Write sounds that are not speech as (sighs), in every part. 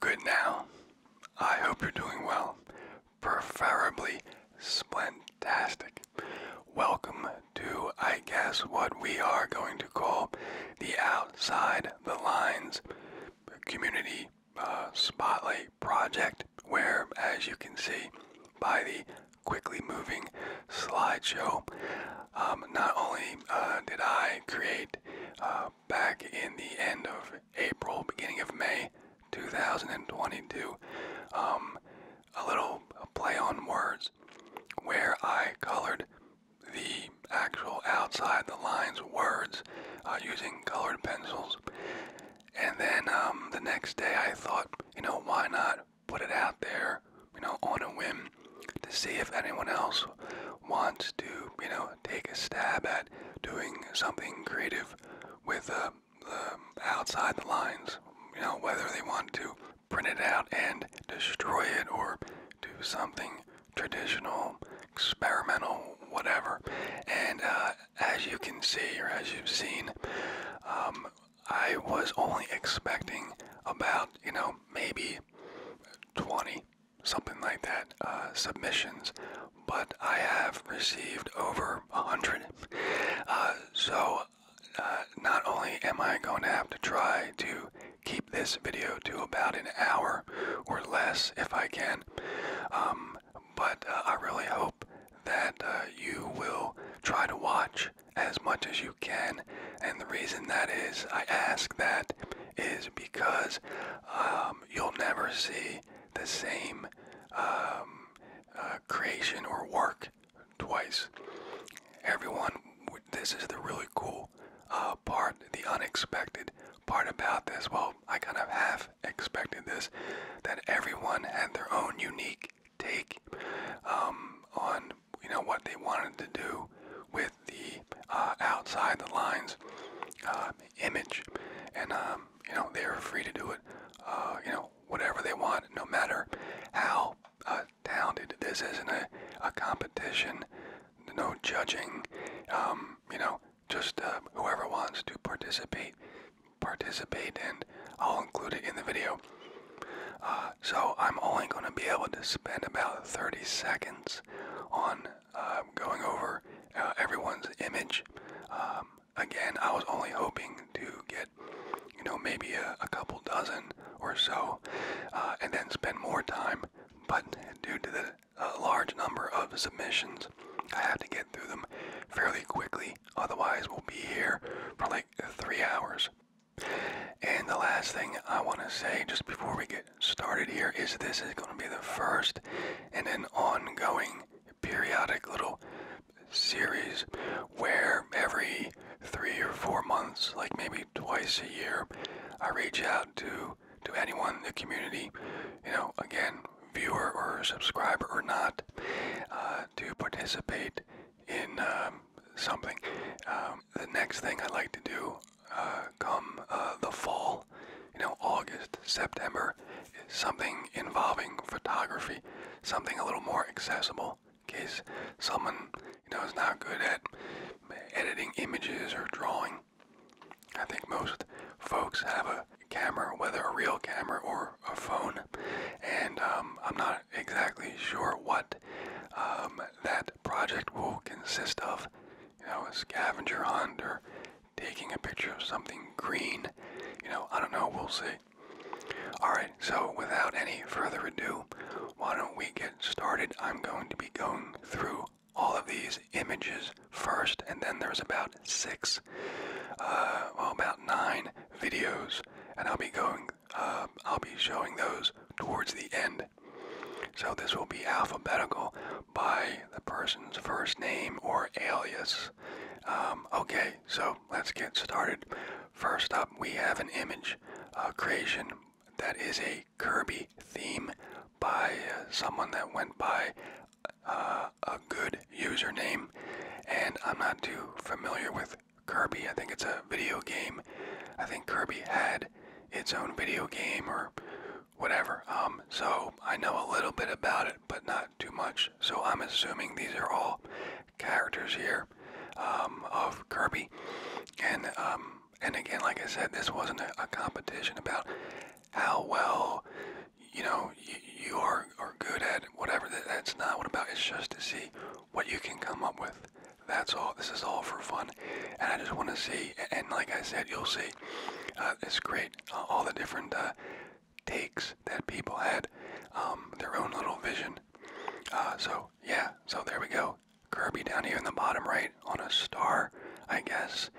Good now. I hope you're doing well, preferably splentastic. Welcome to, I guess, what we are going to call the Outside the Lines Community uh, Spotlight Project, where, as you can see by the quickly moving slideshow, um, not only uh, did I create uh, back in the end of April, beginning of May 2022. Um, a little play on words where I colored the actual outside the lines words uh, using colored pencils. And then um, the next day I thought, you know, why not put it out there, you know, on a whim to see if anyone else wants to, you know, now take a stab at doing something creative with uh, the outside the lines. You know, whether they want to print it out and destroy it or do something traditional, experimental, whatever. And uh, as you can see, or as you've seen, um, I was only expecting about, you know, maybe 20 something like that, uh, submissions, but I have received over a hundred. Uh, so uh, not only am I going to have to try to keep this video to about an hour or less if I can, um, but I really hope that you will try to watch as much as you can. And the reason that is, I ask that is because um, um, you'll never see the same um, uh, creation or work twice. Everyone, this is the really cool uh, part, the unexpected part about this. Well, I kind of half expected this, that everyone had their own unique take um, on you know what they wanted to do with the uh, outside the lines um, image, and um, you know they are free to do it, uh, you know whatever they want, no matter how uh, talented. This isn't a, a competition, no judging. Um, you know, just uh, whoever wants to participate, participate, and I'll include it in the video. so I'm only going to be able to spend about 30 seconds on going over uh, everyone's image. Um, again, I was only hoping to get, you know, maybe a, couple dozen or so, uh, and then spend more time. But due to the large number of submissions, I had to get through them fairly quickly. Otherwise, we'll be here for like three hours. And the last thing I want to say, just before we get started here is this is going to be the first and an ongoing periodic little series where every three or four months, like maybe twice a year, I reach out to to anyone in the community, you know, again, viewer or subscriber or not, uh, to participate in um, something. Um, the next thing I like to do uh, come uh, the fall, you know, August, September, something involving photography, something a little more accessible. In case someone, you know, is not good at editing images or drawing. I think most folks have a camera, whether a real camera or a phone, and um, I'm not exactly sure what um, that project will consist of, you know, a scavenger hunt or taking a picture of something green. You know, I don't know, we'll see. Alright, so without any further ado, why don't we get started? I'm going to be going through all of these images first, and then there's about six, uh, about nine videos, and I'll be going, uh, I'll be showing those towards the end. So this will be alphabetical by the person's first name or alias. Um, okay, so let's get started. First up, we have an image uh, creation that is a Kirby theme by uh, someone that went by uh, a good username. And I'm not too familiar with Kirby. I think it's a video game. I think Kirby had its own video game or whatever. Um, so I know a little bit about it, but not too much. So I'm assuming these are all characters here um, of Kirby. And um, and again, like I said, this wasn't a, competition about how well you know you, are are good at whatever. that's not what about. It's just to see what you can come up with. That's all. This is all for fun. And I just want to see, and like I said, you'll see, uh, it's great. all the different uh, takes that people had, um, their own little vision. Uh, so, yeah, so there we go. Kirby down here in the bottom right on a star, I guess.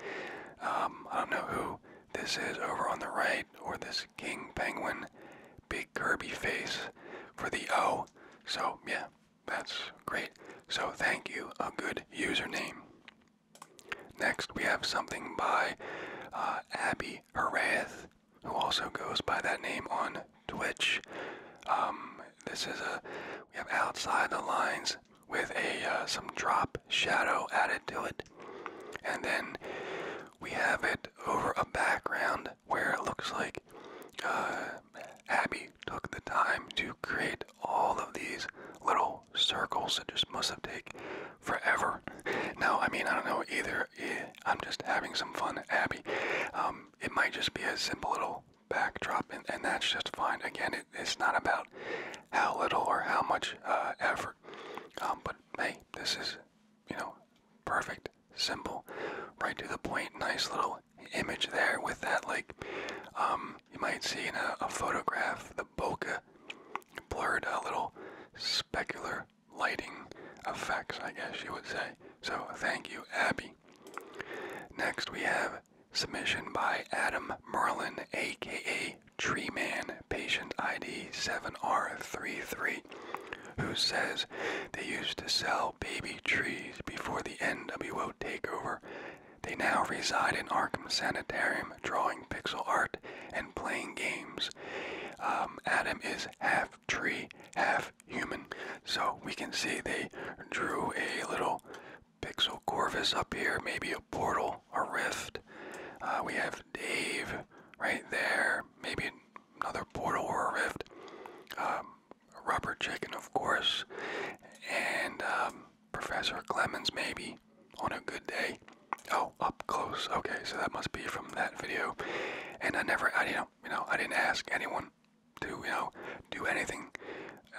Um, I don't know who this is over on the right, or this King Penguin, big Kirby face for the O. So, yeah, that's great. So, thank you, a good username. Next, we have something by uh, Abby Harath, who also goes by that name on Twitch. Um, this is a we have outside the lines with a uh, some drop shadow added to it, and then we have it over a background where it looks like uh, Abby took the time to create all of these little circles. It just must have taken forever. Now, I mean, I don't know either. Eh, I'm just having some fun, Abby. Um, it might just be a simple little backdrop, and, that's just fine. Again, it's not about how little or how much uh, effort. Um, but hey, this is, you know, perfect, simple, right to the point. Nice little image there with that, like, um, you might see in a, photograph the bokeh blurred a little specular lighting effects, I guess you would say. So thank you, Abby. Next we have submission by Adam Merlin, aka Tree Man, patient ID 7R33, who says they used to sell baby trees before the NWO takeover they now reside in Arkham Sanitarium, drawing pixel art and playing games. Um, Adam is half tree, half human. So we can see they drew a little pixel corvus up here, maybe a portal, a rift. Uh, we have Dave right there, maybe another portal or a rift. Um, rubber chicken, of course. And um, Professor Clemens, maybe, on a good day. Oh, up close. Okay, so that must be from that video. And I never, I, you know, you know, I didn't ask anyone to, you know, do anything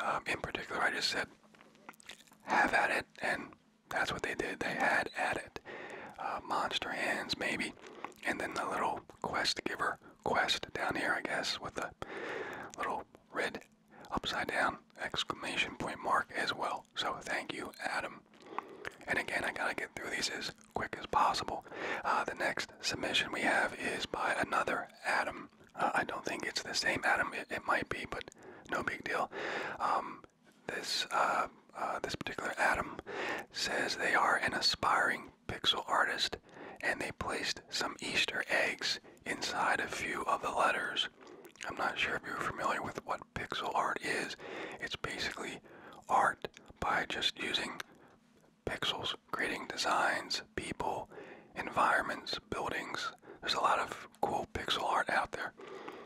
um, in particular. I just said, have at it, and that's what they did. They had at it. Uh, monster hands, maybe, and then the little quest giver quest down here, I guess, with the little red upside down exclamation point mark as well. So thank you, Adam. And again, I gotta get through these as quick as possible. Uh, the next submission we have is by another Adam. Uh, I don't think it's the same Adam. It, might be, but no big deal. Um, this uh, this particular Adam says they are an aspiring pixel artist, and they placed some Easter eggs inside a few of the letters. I'm not sure if you're familiar with what pixel art is. It's basically art by just using pixels, creating designs, people, environments, buildings. There's a lot of cool pixel art out there.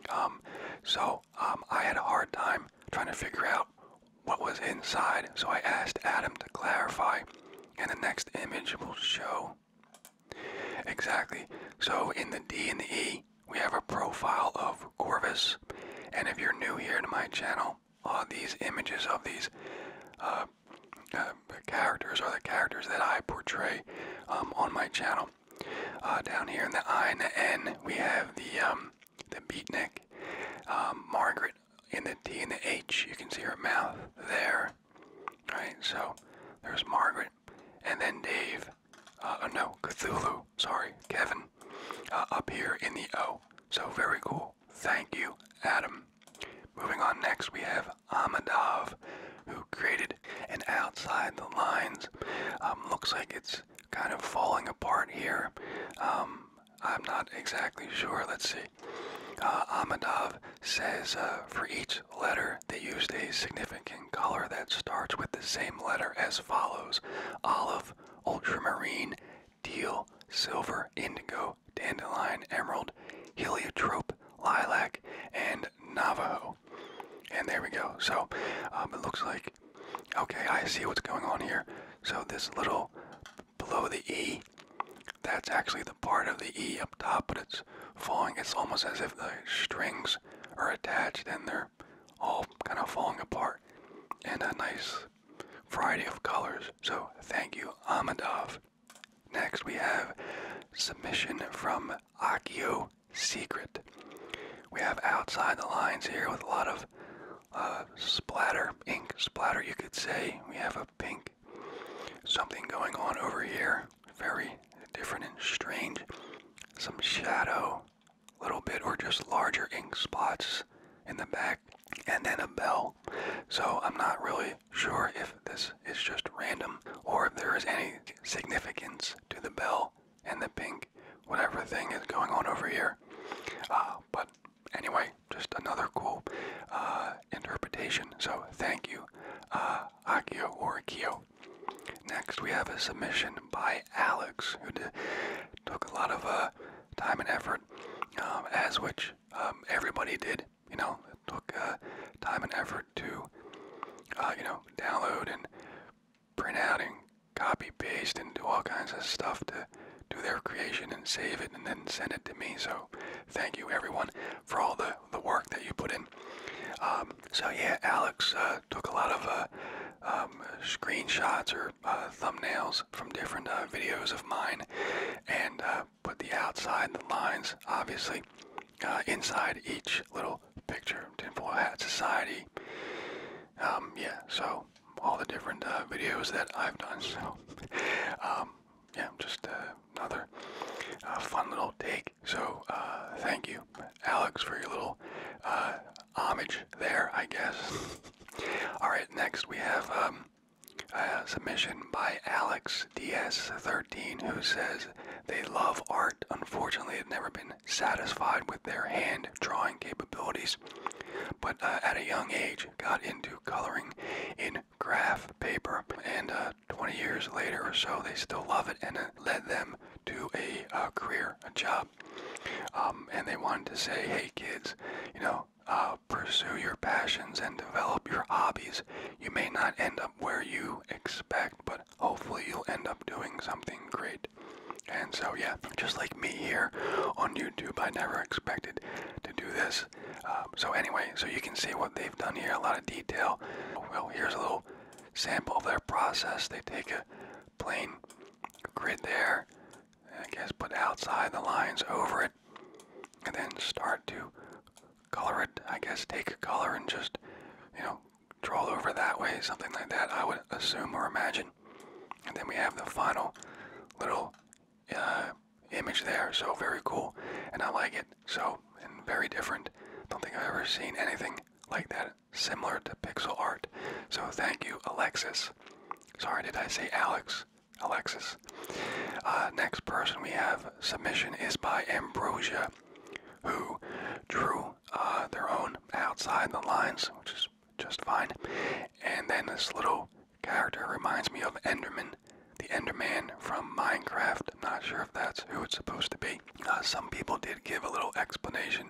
Um, so um, I had a hard time trying to figure out what was inside, so I asked Adam to clarify. And the next image will show Exactly. So in the D and the E, we have a profile of Corvus. And if you're new here to my channel, uh, these images of these uh, uh, characters are the characters that I portray um, on my channel. Uh, down here in the I and the N, we have the um, the beatnik, um, Margaret. In the T and the H, you can see her mouth there. Alright, so there's Margaret, and then Dave, uh, oh, no, Cthulhu, sorry, Kevin, uh, up here in the O. So very cool. Thank you, Adam. Moving on next, we have Amadov, who created And outside the lines. Um, looks like it's kind of falling apart here. Um, I'm not exactly sure. Let's see. Uh, Amadov says uh, for each letter they used a significant color that starts with the same letter as follows olive, ultramarine, teal, silver, indigo, dandelion, emerald, heliotrope, lilac, and navajo. And there we go. So um, it looks like, okay, I see what's going on here. So this little below the E that's actually the part of the E up top, but it's falling. It's almost as if the strings are attached and they're all kind of falling apart And a nice variety of colors. So thank you, Amadov. Next, we have submission from Akio Secret. We have outside the lines here with a lot of uh, splatter, ink splatter, you could say. We have a pink Something going on over here. Very different and strange. Some shadow, little bit or just larger ink spots in the back, and then a bell. So I'm not really sure if this is just random or if there is any significance to the bell and the pink, whatever thing is going on over here. Uh, but anyway, just another quote. Uh, interpretation. So thank you, uh, Akio or Akio. Next, we have a submission by Alex, who took a lot of uh, time and effort, um, as which um, everybody did. You know, took uh, time and effort to, you know, download and print out and copy paste and do all kinds of stuff to do their creation and save it and then send it to me. So thank you, everyone for all the, the work that you put in. Um, so yeah, Alex uh, took a lot of uh, um, screenshots or uh, thumbnails from different videos of mine and put the outside the lines, obviously, inside each little picture. Tinfoil Hat Society. Um, yeah, so all the different videos that I've done. So (laughs) yeah, just uh, another uh, fun little take. So uh, thank you, Alex, for your little homage there, I guess. (laughs) All right, next we have um, a submission by Alex DS13 who says they love art. Unfortunately, have never been satisfied with their hand drawing capabilities, but at a young age got into coloring in graph paper and 20 years later or so, they still love it, and it led them to a uh, career, a job. Um, and they wanted to say, hey kids, you know, uh, pursue your passions and develop your hobbies. You may not end up where you expect, but hopefully you'll end up doing something great. And so, yeah, just like me here on YouTube, I never expected to do this. Uh, so anyway, so you can see what they've done here, a lot of detail. Well, here's a little sample of their process. They take a plain grid there, I guess put outside the lines over it, and then start to color it. I guess take a color and just, you know, draw over that way, something like that, I would assume or imagine. And then we have the final little uh, image there, so very cool, and I like it. So, and very different. Don't think I've ever seen anything like that similar to pixel art. So thank you, Alexis. Sorry, did I say Alex? Alexis. Uh, next person we have submission is by Ambrosia, who drew uh, their own outside the lines, which is just fine. And then this little character reminds me of Enderman the Enderman from Minecraft. I'm not sure if that's who it's supposed to be. Uh, some people did give a little explanation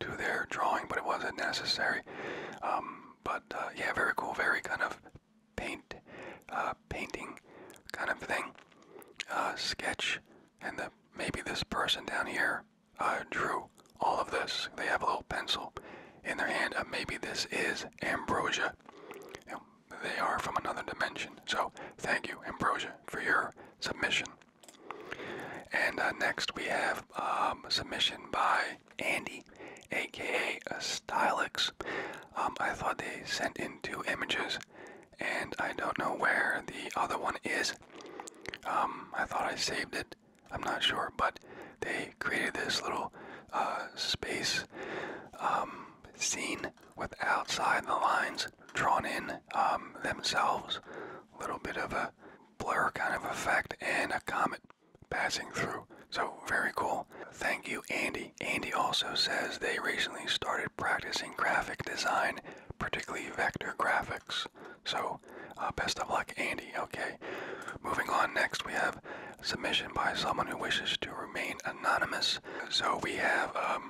to their drawing, but it wasn't necessary. Um, but uh, yeah, very cool, very kind of paint, uh, painting kind of thing, sketch, and the, maybe this person down here drew all of this. They have a little pencil in their hand. maybe this is ambrosia they are from another dimension. So thank you, Ambrosia, for your submission. And uh, next we have um, submission by Andy, aka Stylix. Um, I thought they sent in two images, and I don't know where the other one is. Um, I thought I saved it. I'm not sure, but they created this little uh, space um, scene with outside the lines drawn in um, themselves. A little bit of a blur kind of effect and a comet passing through. So very cool. Thank you, Andy. Andy also says they recently started practicing graphic design, particularly vector graphics. So uh, best of luck, Andy. Okay. Moving on next, we have submission by someone who wishes to remain anonymous. So we have um,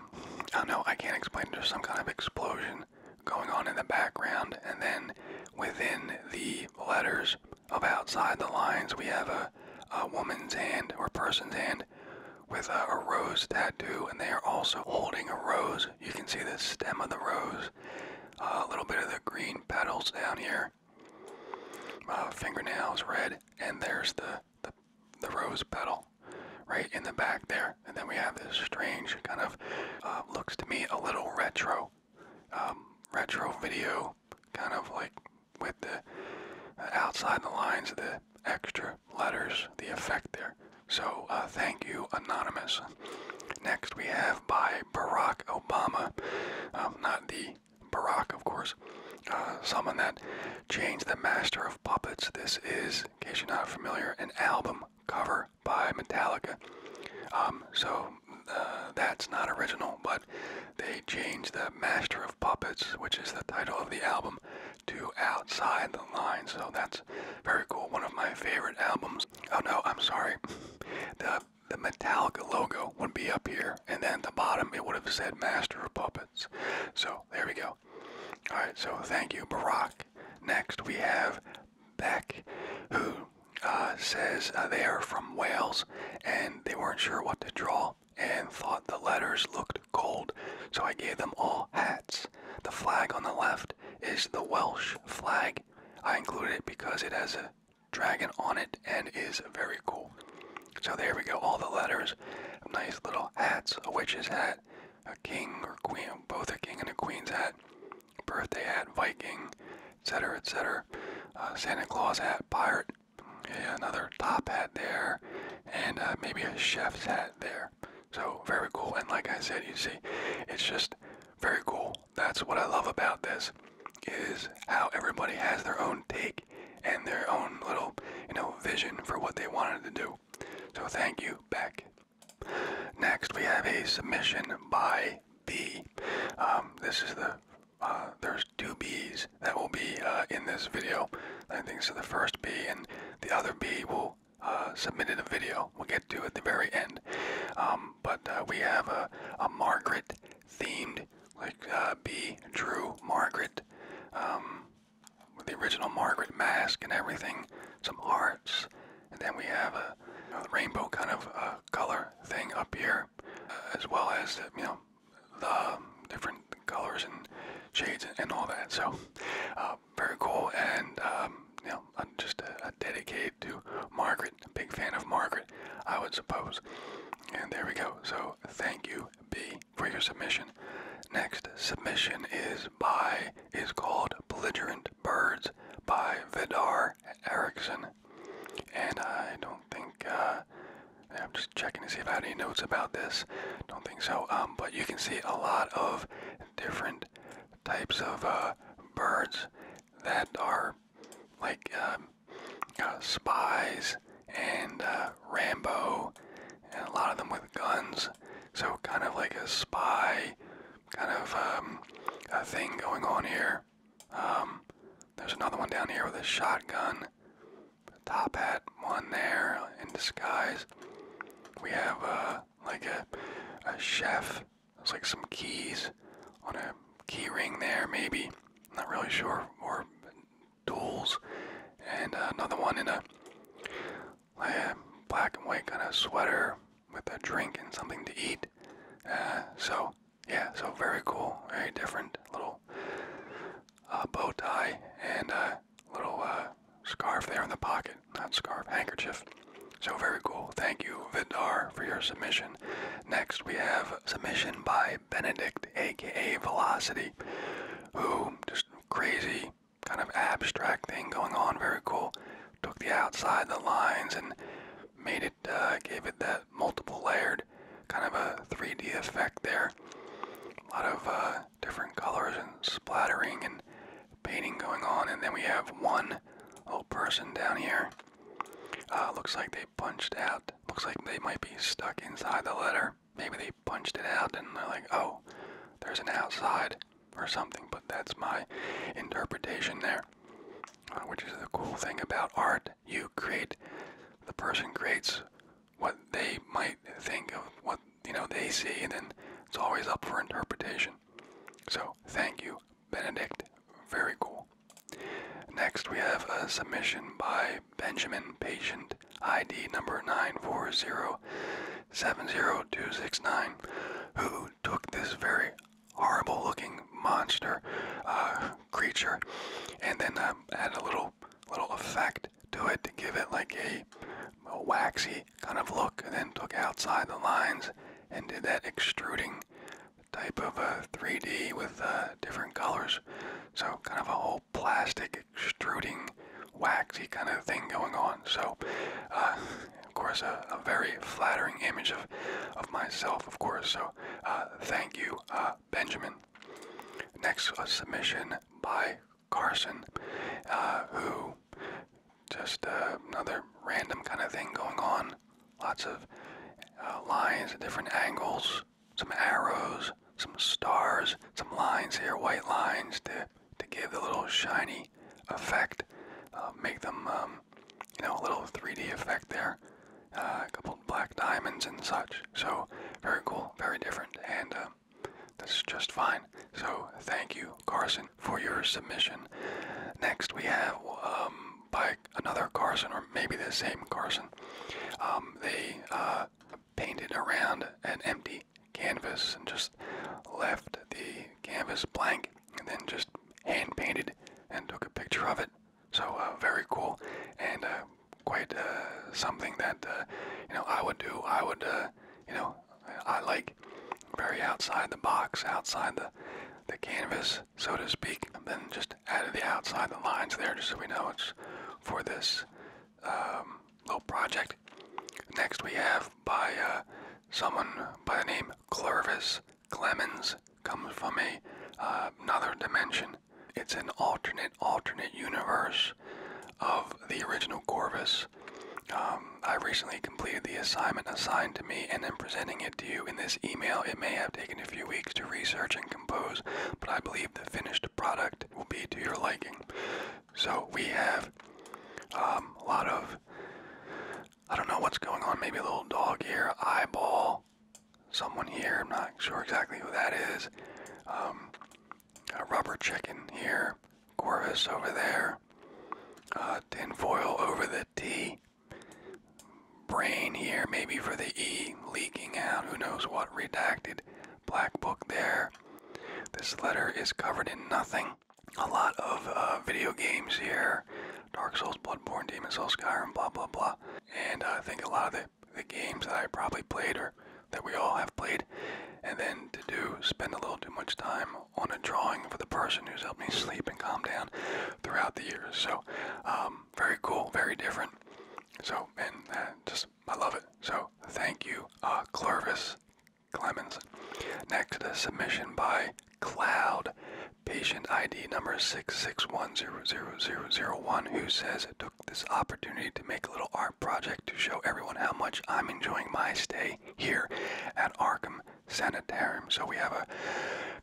I don't know, I can't explain. There's some kind of explosion going on in the background, and then within the letters of outside the lines, we have a, woman's hand or person's hand with a, rose tattoo, and they are also holding a rose. You can see the stem of the rose, uh, a little bit of the green petals down here, uh, fingernails red, and there's the the, the rose petal right in the back there. And then we have this strange kind of uh, looks to me a little retro, um, retro video, kind of like with the uh, outside the lines, of the extra letters, the effect there. So uh, thank you, Anonymous. Next we have by Barack Obama, um, not the Barack, of course, someone that changed the master of puppets. This is, in case you're not familiar, an album cover by Metallica. Um, so uh, that's not original, but they changed the master of puppets, which is the title of the album, to Outside the Line. So that's very cool. One of my favorite albums. Oh no, I'm sorry. The the Metallica logo would not be up here, and then at the bottom it would have said Master of Puppets. So there we go. All right, so thank you, Barack. Next, we have Beck, who uh, says uh, they are from Wales and they weren't sure what to draw and thought the letters looked cold, so I gave them all hats. The flag on the left is the Welsh flag. I included it because it has a dragon on it and is very cool. So there we go, all the letters. Nice little hats, a witch's hat, a king or queen, both a king and a queen's hat, birthday hat, Viking, etc., etc. Uh, Santa Claus hat, pirate, yeah, another top hat there, and uh, maybe a chef's hat there. So very cool. And like I said, you see, it's just very cool. That's what I love about this is how everybody has their own take and their own little, you know, vision for what they wanted to do. So thank you, Beck. Next, we have a submission by B. Um, this is the uh, there's two B's that will be uh, in this video. I think so. The first B and the other B will uh, submit in a video. We'll get to at the very end. Um, but we have a, Margaret themed like B Drew Margaret. Um, with the original Margaret mask and everything, some hearts, and then we have a rainbow kind of uh, color thing up here, uh, as well as uh, you know the um, different colors and shades and, all that. So very cool, and um, you know I'm just a, a dedicated to Margaret, a big fan of Margaret, I would suppose. And there we go. So thank you B for your submission. Next submission is by is called Belligerent Birds by Vidar Erickson. And I don't think uh, I'm just checking to see if I have any notes about this. Don't think so. Um, but you can see a lot of different types of uh, birds that are like um, uh, spies and uh, Rambo, and a lot of them with guns. So kind of like a spy kind of um, a thing going on here. Um, there's another one down here with a shotgun. A top hat one there in disguise. We have uh, like a, a chef. There's like some keys on a key ring there maybe. not really sure. Or tools, and uh, another one in a uh, black and white kind of sweater with a drink and something to eat. Uh, so yeah, so very cool, very different. Little uh, bow tie and a little scarf there in the pocket, not scarf, handkerchief. So very cool. Thank you, Vidar, for your submission. Next, we have submission by Benedict, aka Velocity, who just crazy kind of abstract thing going on. Very cool. Took the outside the lines and made it, uh, gave it that multiple layered kind of a 3D effect there. A lot of uh, different colors and splattering and painting going on. And then we have one little person down here. Uh, looks like they punched out. Looks like they might be stuck inside the letter maybe they punched it out and they're like, oh, there's an outside or something. But that's my interpretation there, uh, which is the cool thing about art. You create, the person creates what they might think of what you know they see, and then it's always up for interpretation. So thank you, Benedict. Very cool. Next, we have a uh, submission by Benjamin Patient, ID number nine four zero seven zero two six nine, who took this very horrible looking monster uh, creature and then uh, add a little little effect to it to give it like a, waxy kind of look and then took outside the lines and did that extruding type of uh, 3D with different colors so kind of a whole plastic extruding waxy kind of thing going on. So, uh, of course, a, very flattering image of, of myself, of course. So, uh, thank you, uh, Benjamin. Next, a submission by Carson, who just another random kind of thing going on. Lots of lines at different angles some arrows, some stars, some lines here, white lines to, to give a little shiny effect, uh, make them, um, you know, a little 3D effect there. Uh, a couple black diamonds and such. So very cool, very different, and uh, that's just fine. So thank you, Carson, for your submission. Next we have um, by another Carson, or maybe the same Carson. Um, they uh, painted around an empty canvas and just left the canvas blank and then just hand painted and took a picture of it. So uh, very cool and uh, quite uh, something that you know I would do. I would you know I like very outside the box, outside the the canvas, so to speak. And then just added the outside the lines there, just so we know it's for this um, little project. Next, we have by uh, someone by the name Clervis Clemens, comes from a uh, another dimension. It's an alternate, alternate universe of the original Corvus. Um, I recently completed the assignment assigned to me and am presenting it to you in this email. It may have taken a few weeks to research and compose, but I believe the finished product will be to your liking. So we have um, a lot of, I don't know what's going on, maybe a little dog here, eyeball, someone here, I'm not sure exactly who that is. Um, a rubber chicken here, Corvus over there, uh, tinfoil over the T, brain here, maybe for the E, leaking out, who knows what, redacted, black book there. This letter is covered in nothing. A lot of uh, video games here Dark Souls, Bloodborne, Demon Souls, Skyrim, blah, blah, blah. And I think a lot of the, the games that I probably played or that we all have played. And then to do spend a little too much time on a drawing for the person who's helped me sleep and calm down throughout the years. So, um, very cool, very different. So, and uh, just I love it. So thank you, uh, Clervis Clemens. Next, to the submission by Cloud, patient ID number six six one zero zero zero zero one, who says, it Took this opportunity to make a little art project to show everyone how much I'm enjoying my stay here at Arkham Sanitarium. So we have a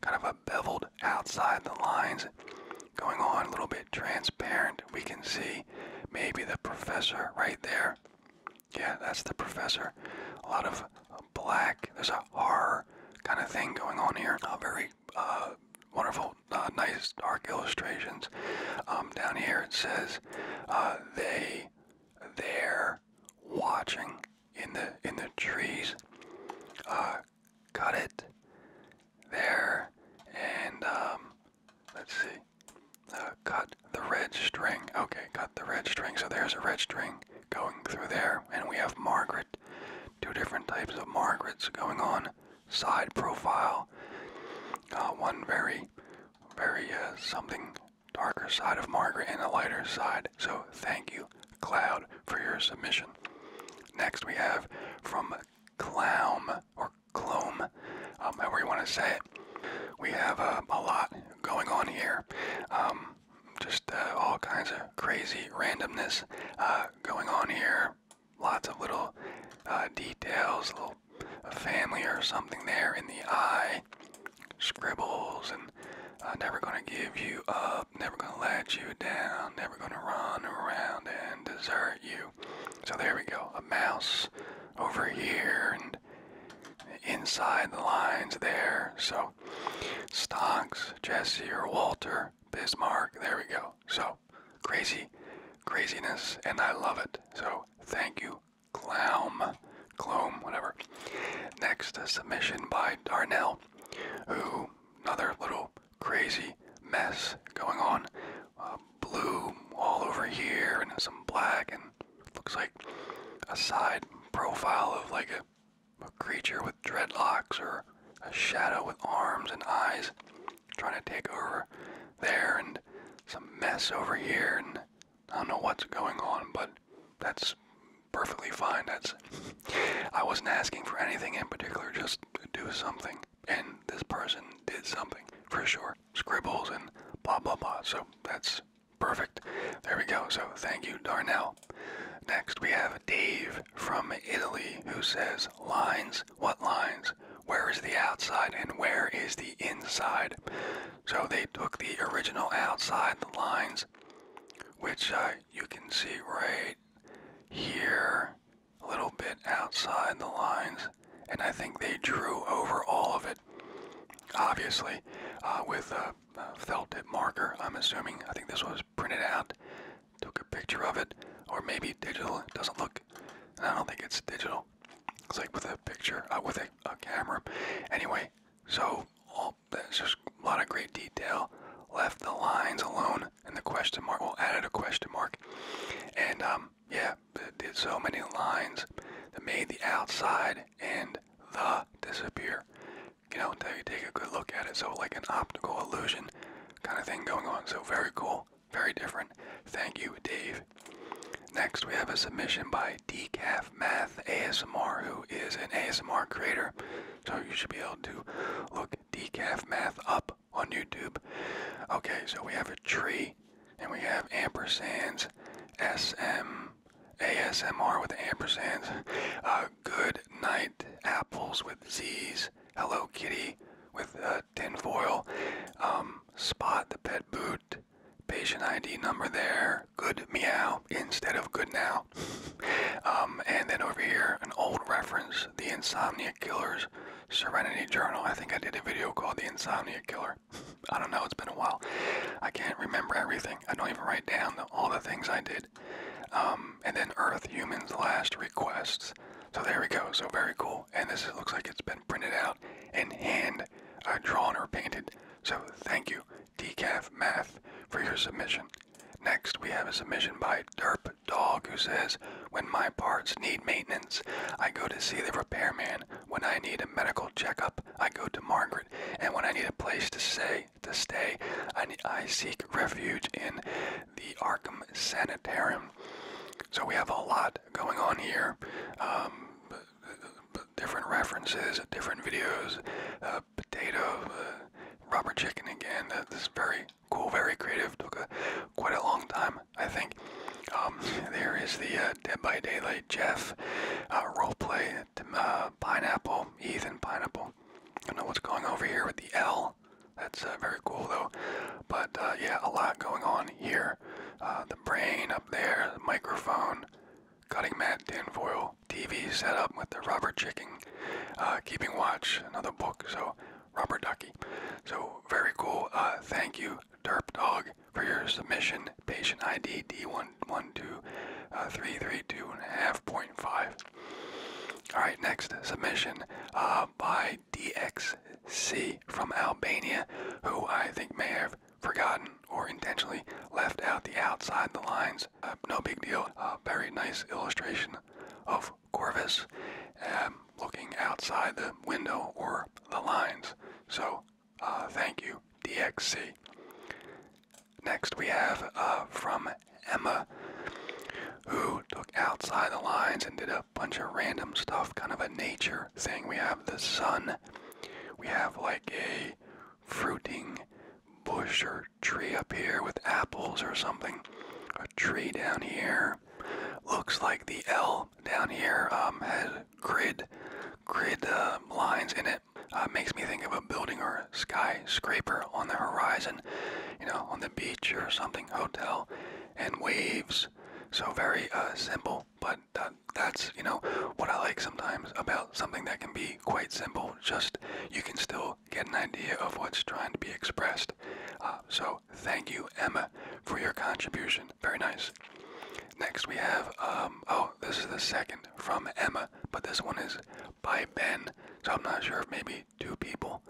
kind of a beveled outside the lines going on, a little bit transparent. We can see maybe the professor right there. Yeah, that's the professor. A lot of black. There's a horror kind of thing going on here. Uh, very uh, wonderful, uh, nice dark illustrations. Um, down here it says uh, they, they're watching in the in the trees. Uh, cut it there, and um, Let's see. Uh, cut the red string. Okay, cut the red string. So there's a red string going through there. And we have Margaret. Two different types of Margarets going on. Side profile. Uh, one very, very uh, something darker side of Margaret and a lighter side. So thank you, Cloud, for your submission. Next we have from Clown or Clome, um, however you want to say it. We have uh, a lot going on here. Um, just uh, all kinds of crazy randomness uh, going on here. Lots of little uh, details, little family or something there in the eye. Scribbles and uh, never gonna give you up, never gonna let you down, never gonna run around and desert you. So there we go. A mouse, over here and inside the lines there. So Stocks, Jesse or Walter, Bismarck, there we go. So crazy craziness and I love it. So thank you, Clown, Clom, whatever. Next submission by Darnell, who another little crazy mess going on um, blue all over here and some black and looks like a side profile of like a, a creature with dreadlocks or a shadow with arms and eyes trying to take over there and some mess over here and I don't know what's going on but that's perfectly fine that's I wasn't asking for anything in particular just do something and this person did something for sure. Scribbles and blah blah blah. So that's perfect. There we go. So thank you, Darnell. Next we have Dave from Italy who says lines. What lines? Where is the outside and where is the inside? So they took the original outside the lines, which uh, you can see right here a little bit outside the lines, and I think they drew over all of it. Obviously, uh, with a, a felt tip marker, I'm assuming. I think this was printed out, took a picture of it, or maybe digital. It doesn't look, I don't think it's digital. It's like with a picture, uh, with a, camera. Anyway, so all, there's just a lot of great detail. Left the lines alone and the question mark. Well, added a question mark, and um, um, yeah, did so many lines that made the outside and the disappear. You know, until you take a good look at it. So like an optical illusion kind of thing going on. So very cool, very different. Thank you, Dave. Next, we have a submission by Decaf Math ASMR, who is an ASMR creator. So you should be able to look Decaf Math up on YouTube. Okay, so we have a tree and we have ampersands, SM, ASMR with ampersands, uh, good night apples with Z's, Hello Kitty with uh, tinfoil, um, spot the pet boot, patient ID number there, good meow instead of good now. (laughs) um, and then over here, an old reference, the Insomnia Killers Serenity Journal. I think I did a video called The Insomnia Killer. (laughs) I don't know, it's been a while. I can't remember everything. I don't even write down all the things I did. Um, and then Earth Humans Last Requests. So there we go. So very cool. And this looks like it's been printed out and hand uh, drawn or painted. So thank you, Decaf Math, for your submission. Next, we have a submission by Derp Dog who says, when my parts need maintenance. I go to see the repairman. When I need a medical checkup, I go to Margaret. And when I need a place to stay, to stay, I, seek refuge in the Arkham Sanitarium. So we have a lot going on here. Um, different references, different videos, uh, potato, uh, rubber chicken again. this is very cool, very creative. Took a, quite a long time I think. Um, there is the uh, Dead by Daylight Jeff uh, roleplay, uh, Pineapple, Ethan Pineapple. I know what's going over here with the L. That's uh, very cool though. But yeah, a lot going on here. the brain up there, microphone, cutting mat, tinfoil, TV setup with the rubber chicken, keeping watch, another book. So Robert ducky. So very cool. thank you Derp Dog for your submission. Patient ID D1123325.5. Alright, next submission uh, by DXC from Albania, who I think may have forgotten or intentionally left out the outside the lines. Uh, no big deal. Uh, very nice illustration of Corvus. Um, looking outside the window or the lines. So uh, thank you, DXC. Next we have uh, from Emma, who took outside the lines and did a bunch of random stuff, kind of a nature thing. We have the sun, we have like a fruiting bush or tree up here with apples or something, a tree down here. Looks like the L down here um, has grid grid uh, lines in it. Uh, makes me think of a building or a skyscraper on the horizon, you know, on the beach or something, hotel, and waves. So very uh, simple, but that's, you know, what I like sometimes about something that can be quite simple. Just you can still get an idea of what's trying to be expressed. Uh, so thank you, Emma, for your contribution. Very nice. Next we have, um, oh, this is the second from Emma, but this one is by Ben. So I'm not sure if maybe two people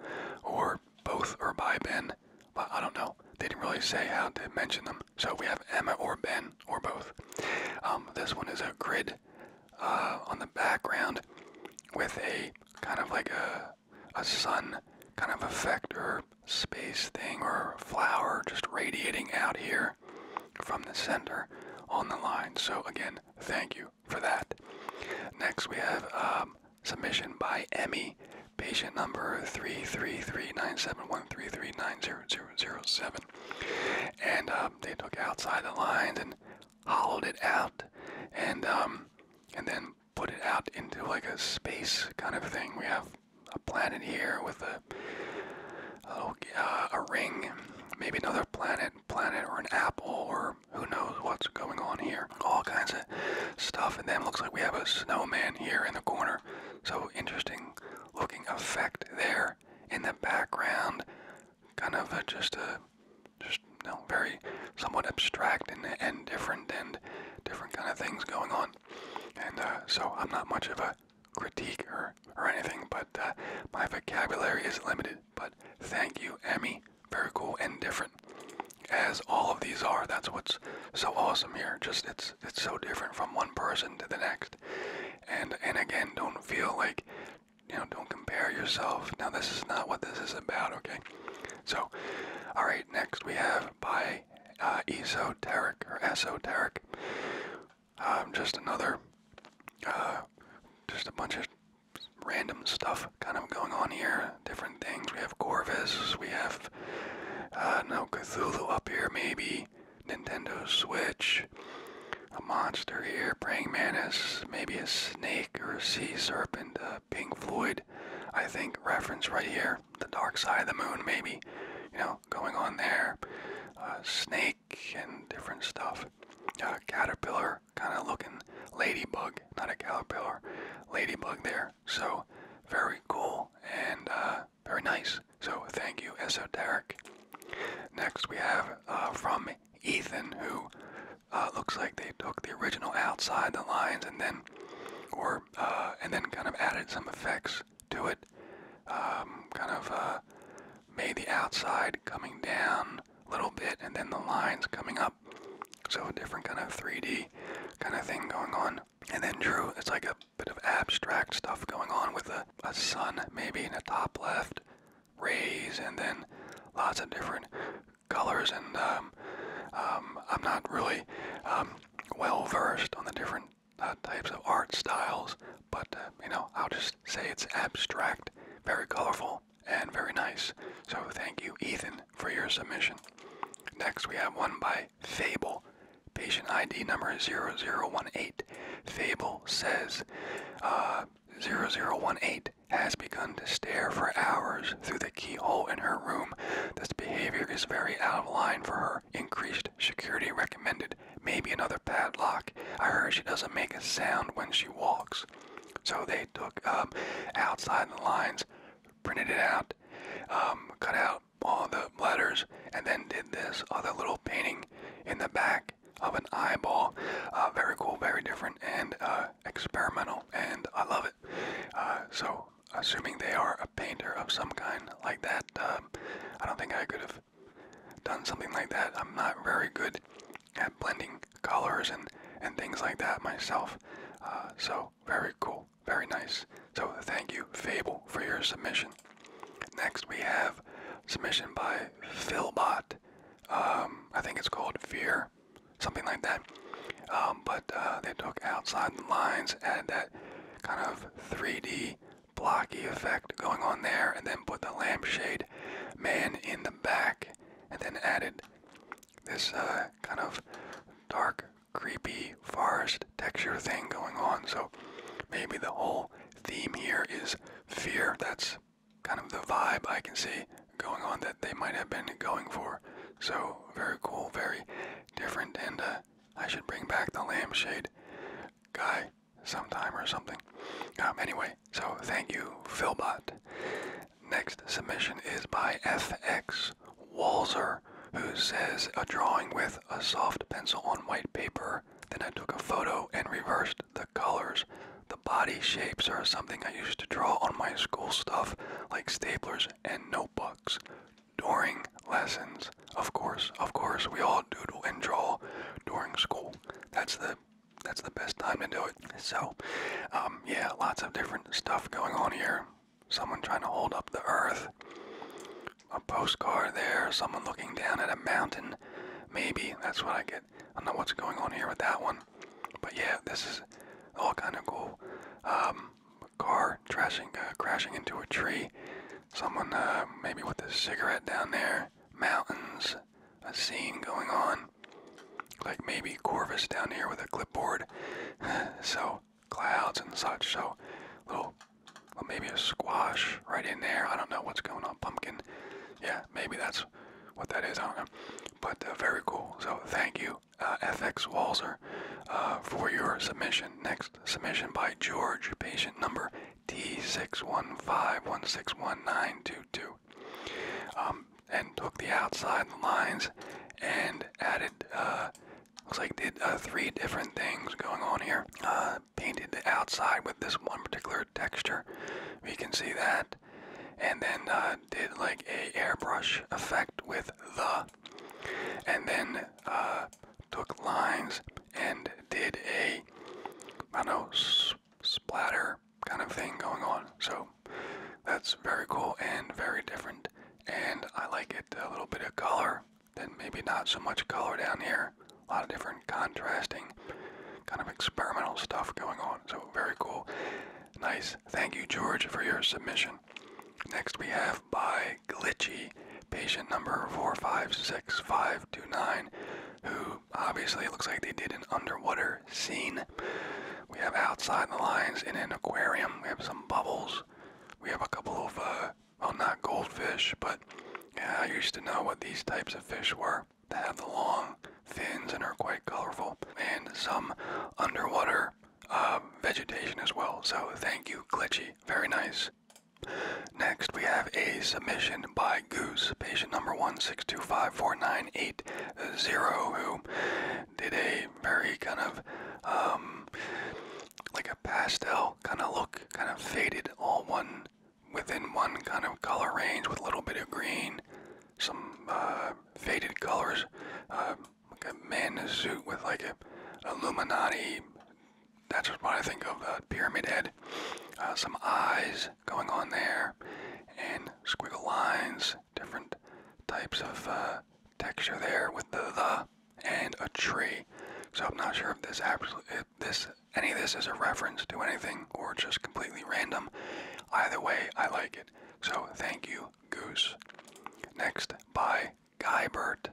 or both are by Ben. But I don't know. They didn't really say how to mention them. So we have Emma or Ben or both. Um, this one is a grid uh, on the background with a kind of like a, a sun kind of effect or space thing or flower just radiating out here from the center on the line. So again, thank you for that. Next we have um, submission by Emmy, patient number 3339713390007. And um, they took outside the lines and hollowed it out and um, and then put it out into like a space kind of thing. We have a planet here with a a, uh, a ring, maybe another planet, planet or an apple or who knows what's going on here. All kinds of stuff. And then looks like we have a snowman here in the corner. So interesting looking effect there in the background. Kind of a, just a just you know, very somewhat abstract and, and different and different kind of things going on. And uh, so I'm not much of a critique or, or anything, but uh, my vocabulary is limited. But thank you, Emmy. Very cool and different, as all of these are. That's what's so awesome here. Just it's it's so different from one person to the next. And and again, don't feel like you know, don't compare yourself. Now this is not what this is about. Okay. So, all right. Next we have by uh, esoteric or esoteric. Um, just another, uh, just a bunch of random stuff kind of going on here. Different things. We have Corvus. We have uh, no Cthulhu up here. Maybe Nintendo Switch. A monster here. Praying mantis. Maybe a snake or a sea serpent. Uh, Pink Floyd. I think reference right here the dark side of the moon, maybe, you know, going on there. Uh, snake and different stuff. Uh, caterpillar, kind of looking ladybug, not a caterpillar, ladybug there. So very cool and uh, very nice. So thank you, Esoteric. Next we have uh, from Ethan, who looks like they took the original outside the lines and then or. Uh, and then kind of added some effects to it. Um, kind of uh, made the outside coming down a little bit, and then the lines coming up. So a different kind of 3D kind of thing going on. And then drew, it's like a bit of abstract stuff going on with a, sun maybe in the top left, rays, and then lots of different colors and um, um, I'm not really well versed on the different uh, types of art styles, but uh, you know, I'll just say it's abstract, very colorful, and very nice. So thank you, Ethan, for your submission. Next, we have one by Fable. Patient ID number 0018. Fable says uh, 0018 has begun to stare for hours through the keyhole in her room. This behavior is very out of line for her increased security recommended, maybe another padlock. I heard she doesn't make a sound when she walks. So they took um, outside the lines, printed it out, um, cut out all the letters, and then did this all the little painting in the back of an eyeball. Uh, very cool, very different, and uh, experimental, and I love it. Uh, so assuming they are a painter of some kind like that, um, I don't think I could have done something like that. I'm not very good at blending colors and, and things like that myself. Uh, so, very cool, very nice. So, thank you, Fable, for your submission. Next, we have submission by Philbot. Um, I think it's called Fear, something like that. Um, but uh, they took outside the lines, and that kind of 3D blocky effect going on there, and then put the lampshade man in the back, and then added this uh, kind of dark, creepy forest texture thing going on. So maybe the whole theme here is fear. That's kind of the vibe I can see going on that they might have been going for. So very cool, very different, and uh, I should bring back the lampshade guy sometime or something. Um, anyway, so thank you, Philbot. Next submission is by FX Walzer, who says a drawing with a soft pencil on white paper. Then I took a photo and reversed the colors. The body shapes are something I used to draw on my school stuff, like staplers and notebooks during lessons. Of course, of course, we all doodle and draw during school. That's the that's the best time to do it. So, um, yeah, lots of different stuff going on here. Someone trying to hold up the earth. A postcard there. Someone looking down at a mountain. Maybe that's what I get. I don't know what's going on here with that one, but yeah, this is all kind of cool. Um, a car trashing, uh, crashing into a tree. Someone uh, maybe with a cigarette down there. Mountains. A scene going on. Like maybe Corvus down here with a clipboard. (laughs) so clouds and such. So little, well, maybe a squash right in there. I don't know what's going on. Pumpkin. Yeah, maybe that's what that is. I don't know. But uh, very cool. So thank you uh, FX Walzer, uh, for your submission. Next submission by George, patient number T615161922. Um, and took the outside lines and added, uh, looks like did three different things going on here. painted the outside with this one particular texture. We can see that. And then did like a airbrush effect with the and then uh, took lines and did a I don't know splatter kind of thing going on. So that's very cool and very different, and I like it a little bit of color. Then maybe not so much color down here. A lot of different contrasting kind of experimental stuff going on. So very cool. Nice. Thank you, George, for your submission. Next we have by Glitchy, patient number four five six five two nine, who obviously looks like they did an underwater scene. We have outside the lines in an aquarium. We have some bubbles. We have a couple of, uh, well, not goldfish, but yeah, I used to know what these types of fish were. They have the long fins and are quite colorful, and some underwater um, vegetation as well. So thank you, Glitchy. Very nice. Next, we have a submission by Goose, patient number 1625498, who did a very kind of um, like a pastel kind of look, kind of faded, all one within one kind of color range with a little bit of green, some uh, faded colors, uh, like a man in a suit with like a Illuminati. That's what I think of the pyramid head. Uh, some eyes going on there, and squiggle lines, different types of uh, texture there with the and a tree. So I'm not sure if this absolutely if this any of this is a reference to anything or just completely random. Either way, I like it. So thank you, Goose. Next, bye. Guybert.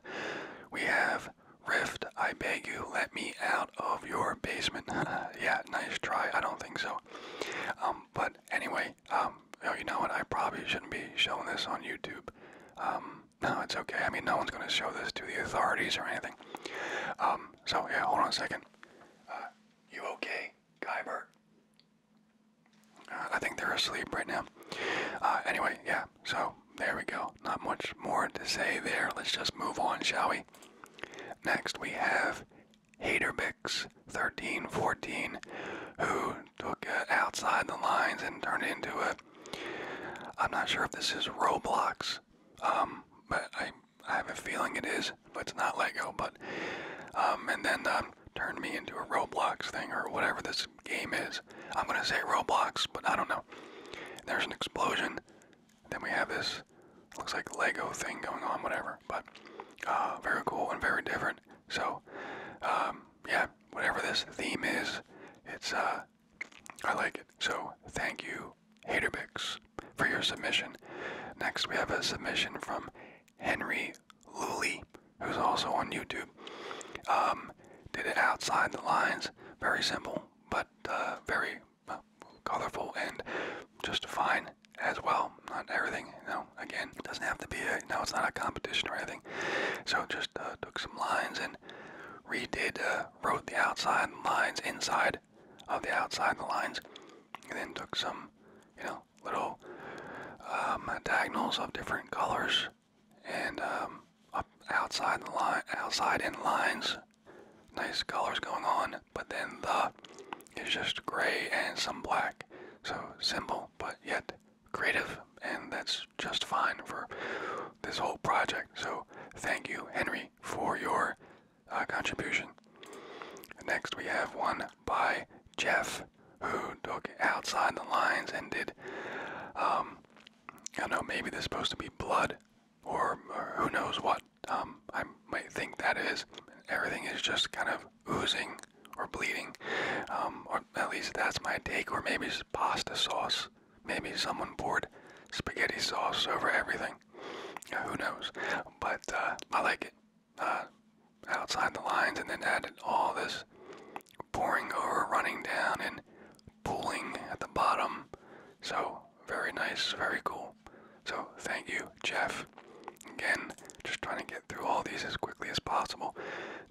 We have Rift, I beg you, let me out of your basement. (laughs) yeah, nice try. I don't think so. Um, but anyway, um, oh, you know what? I probably shouldn't be showing this on YouTube. Um, (laughs) no, it's okay. I mean, no one's going to show this to the authorities or anything. Um, so yeah, hold on a second. Uh, you okay, Guybert? I think they're asleep right now. Uh, anyway, yeah, so there we go. Not much more to say there. Let's just move on, shall we? Next, we have Haterbix 1314, who took it uh, outside the lines and turned into it i I'm not sure if this is Roblox, um, but I, have a feeling it is, but it's not Lego, but. and then um, turned me into a Roblox thing or whatever this game is. I'm gonna say Roblox, but I don't know. There's an explosion. Then we have this looks like Lego thing going on, whatever. But uh, very cool and very different. So um, yeah, whatever this theme is, it's uh, I like it. So thank you, Haterbix, for your submission. Next we have a submission from Henry Lully who's also on YouTube, um, did it outside the lines. Very simple, but uh, very uh, colorful and just fine as well. Not everything, you know, again, doesn't have to be a, no, it's not a competition or anything. So just uh, took some lines and redid, wrote the outside lines inside of the outside lines, and then took some, you know, little um, diagonals of different colors and um, outside the line, outside in lines, nice colors going on. But then the is just gray and some black. So simple, but yet creative, and that's just fine for this whole project. So thank you, Henry, for your uh, contribution. Next, we have one by Jeff, who took outside the lines and did um, I don't know, maybe there's supposed to be blood or, who knows what. Um, I might think that is. Everything is just kind of oozing or bleeding. Um, or at least that's my take. Or maybe pasta sauce. Maybe someone poured spaghetti sauce over everything. who knows? But uh, I like it. Uh, outside the lines and then added all this pouring over, running down, and pooling at the bottom. So, very nice, very cool. So, thank you, Jeff. Again, just trying to get through all these as quickly as possible.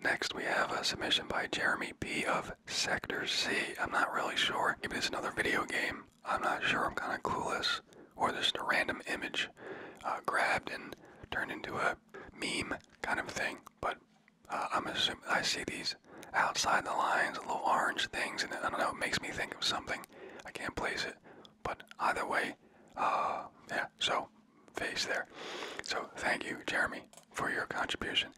Next, we have a submission by Jeremy P. of Sector C. I'm not really sure. Maybe it's another video game. I'm not sure. I'm kind of clueless. Or just a random image uh, grabbed and turned into a meme kind of thing. But uh, I'm assuming I see these outside the lines, little orange things, and I don't know. It makes me think of something. I can't place it, but either way, uh, yeah. So face there. So thank you, Jeremy, for your contribution.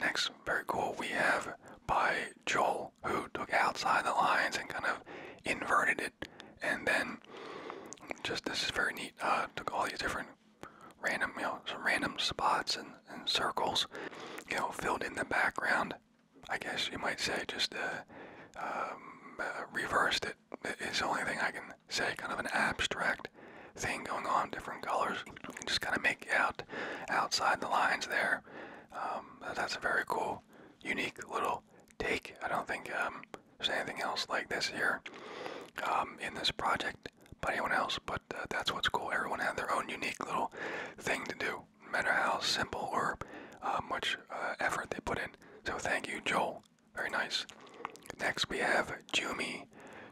Next, very cool. We have by Joel, who took outside the lines and kind of inverted it, and then just this is very neat. Uh, took all these different random, you know, some random spots and, and circles, you know, filled in the background. I guess you might say just uh, um, uh, reversed it. It's the only thing I can say, kind of an abstract thing going on, different colors. You can just kind of make out outside the lines there. Um, that's a very cool, unique little take. I don't think um, there's anything else like this here um, in this project by anyone else, but uh, that's what's cool. Everyone had their own unique little thing to do, no matter how simple or uh, much uh, effort they put in. So thank you, Joel. Very nice. Next we have Jumi.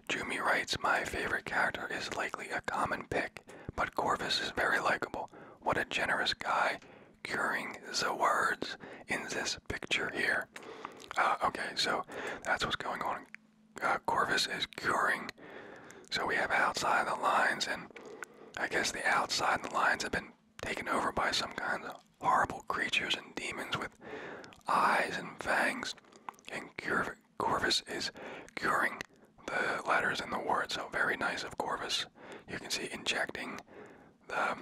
Jumi writes, My favorite character is likely a common pick, but Corvus is very likable. What a generous guy curing the words in this picture here. Uh, okay, so that's what's going on. Uh, Corvus is curing. So we have outside the lines, and I guess the outside the lines have been taken over by some kind of horrible creatures and demons with eyes and fangs. And Corvus is curing the letters in the word, so very nice of Corvus. You can see injecting the,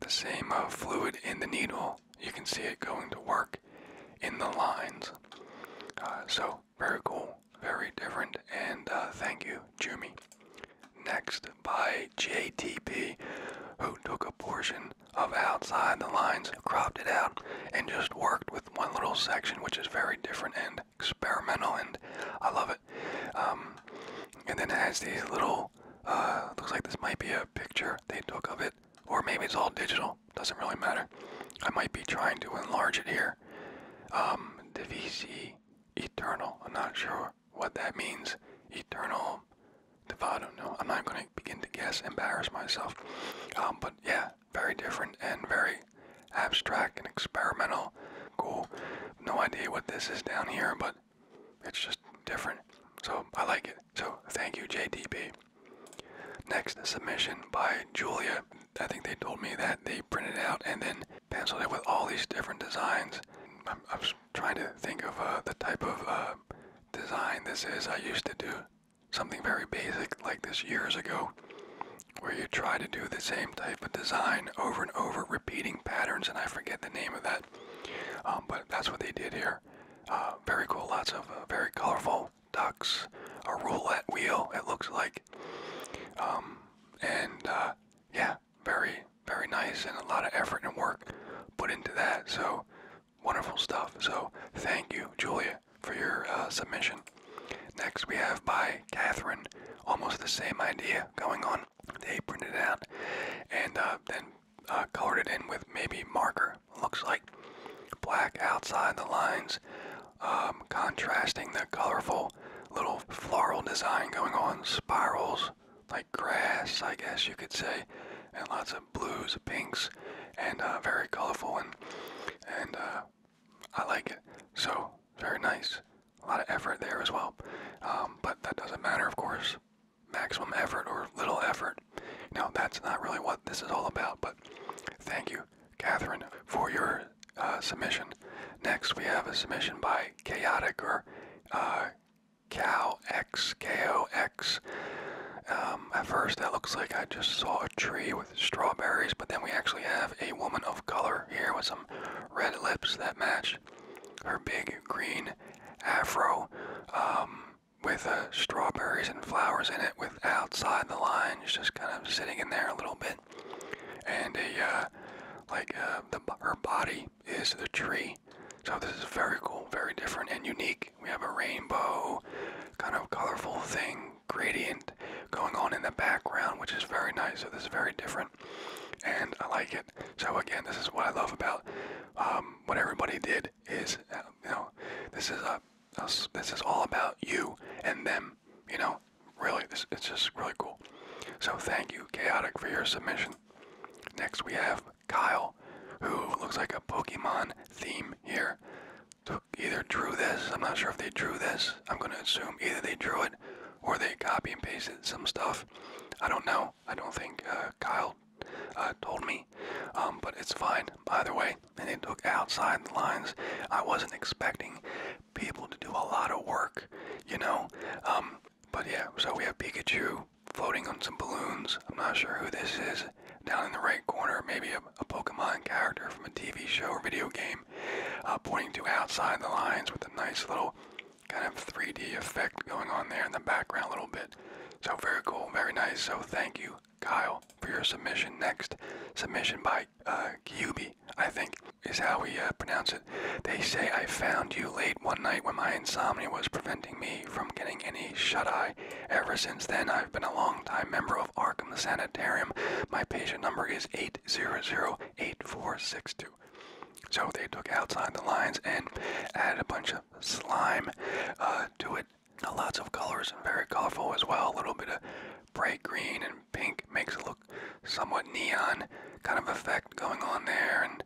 the same fluid in the needle you can see it going to work in the lines. Uh, so, very cool, very different, and uh, thank you, Jimmy. Next, by JTP, who took a portion of outside the lines, cropped it out, and just worked with one little section, which is very different and experimental, and I love it. Um, and then it has these little, uh, looks like this might be a picture they took of it, or maybe it's all digital doesn't really matter. I might be trying to enlarge it here. Um, VC eternal. I'm not sure what that means. Eternal I don't know. I'm not going to begin to guess, embarrass myself. Um, but yeah, very different and very abstract and experimental. Cool. No idea what this is down here, but it's just different. So I like it. So thank you, JTP. Next submission by Julia. I think they told me that they printed out and then penciled it with all these different designs. I'm, trying to think of uh, the type of uh, design this is. I used to do something very basic like this years ago, where you try to do the same type of design over and over, repeating patterns, and I forget the name of that. Um, but that's what they did here. Uh, very cool, lots of uh, very colorful ducks, a roulette wheel, it looks like. Um, and uh, yeah, very, very nice, and a lot of effort and work put into that. So wonderful stuff. So thank you, Julia, for your submission. Next, we have by Catherine, almost the same idea going on. They printed out and then uh, colored it in with maybe marker. Looks like black outside the lines, um, contrasting the colorful little floral design going on, spirals like grass, I guess you could say, and lots of blues, pinks, and uh, very colorful and and uh, I like it. So very nice. A lot of effort there as well, um, but that doesn't matter, of course maximum effort or little effort. Now that's not really what this is all about, but thank you, Catherine, for your uh, submission. Next, we have a submission by Chaotic or uh, Cow X, K O X. Um, at first, that looks like I just saw a tree with strawberries, but then we actually have a woman of color here with some red lips that match her big green afro. Um, with uh, strawberries and flowers in it with outside the lines just kind of sitting in there a little bit and a uh, like uh, her body is the tree so this is very cool very different and unique we have a rainbow kind of colorful thing gradient going on in the background which is very nice so this is very different and i like it so again this is what i love about um, what everybody did is, uh, you know, this is a, uh, this is all about you and them. You know, really, this it's just really cool. So thank you, Chaotic, for your submission. Next we have Kyle, who looks like a Pokemon theme here. So either drew this, I'm not sure if they drew this. I'm gonna assume either they drew it or they copy and pasted some stuff. I don't know. I don't think uh, Kyle uh, told me. Um, but it's fine either way. And it took outside the lines. I wasn't expecting people to do a lot of work, you know. Um, but yeah, so we have Pikachu floating on some balloons. I'm not sure who this is. Down in the right corner, maybe a, Pokemon character from a TV show or video game, uh, pointing to outside the lines with a nice little kind of 3D effect going on there in the background a little bit. So very cool, very nice. So thank you Kyle, for your submission next. Submission by uh, Kyubi, I think, is how we uh, pronounce it. They say I found you late one night when my insomnia was preventing me from getting any shut-eye. Ever since then, I've been a long-time member of Arkham Sanitarium. My patient number is 8008462. So they took outside the lines and added a bunch of slime uh, to it lots of colors and very colorful as well. A little bit of bright green and pink makes it look somewhat neon kind of effect going on there and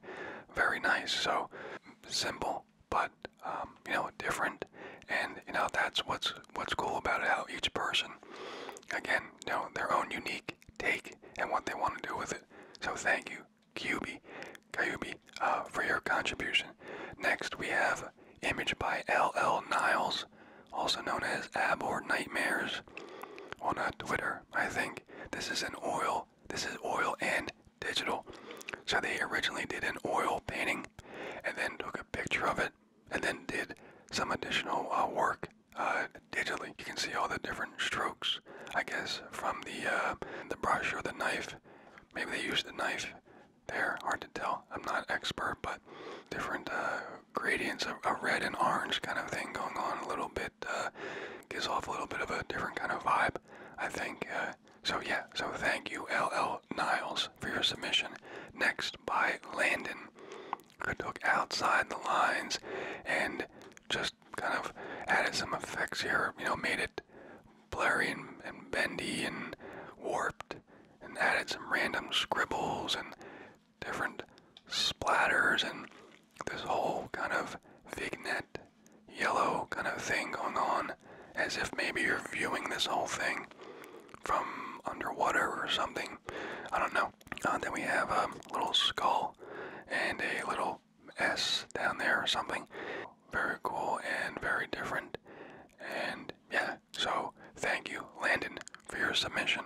very nice. So simple, but um, you know, different. And you know, that's what's what's cool about How each person, again, know, their own unique take and what they want to do with it. So thank you, QB, Kyubi, uh, for your contribution. Next, we have image by LL Niles, also known as Ab or Nightmares, on well, uh, Twitter. I think this is an oil. This is oil and digital. So they originally did an oil painting, and then took a picture of it, and then did some additional uh, work digitally. You can see all the different strokes, I guess, from the the brush or the knife. Maybe they used the knife they're Hard to tell. I'm not expert, but different uh, gradients of a red and orange kind of thing going on a little bit. Uh, gives off a little bit of a different kind of vibe, I think. Uh, so yeah, so thank you, LL Niles, for your submission. Next by Landon. Could look outside the lines and just kind of added some effects here, you know, made it blurry and, bendy and warped, and added some random scribbles and different splatters and this whole kind of vignette yellow kind of thing going on as if maybe you're viewing this whole thing from underwater or something. I don't know. Uh, then we have a little skull and a little S down there or something. Very cool and very different. And yeah, so thank you, Landon, for your submission.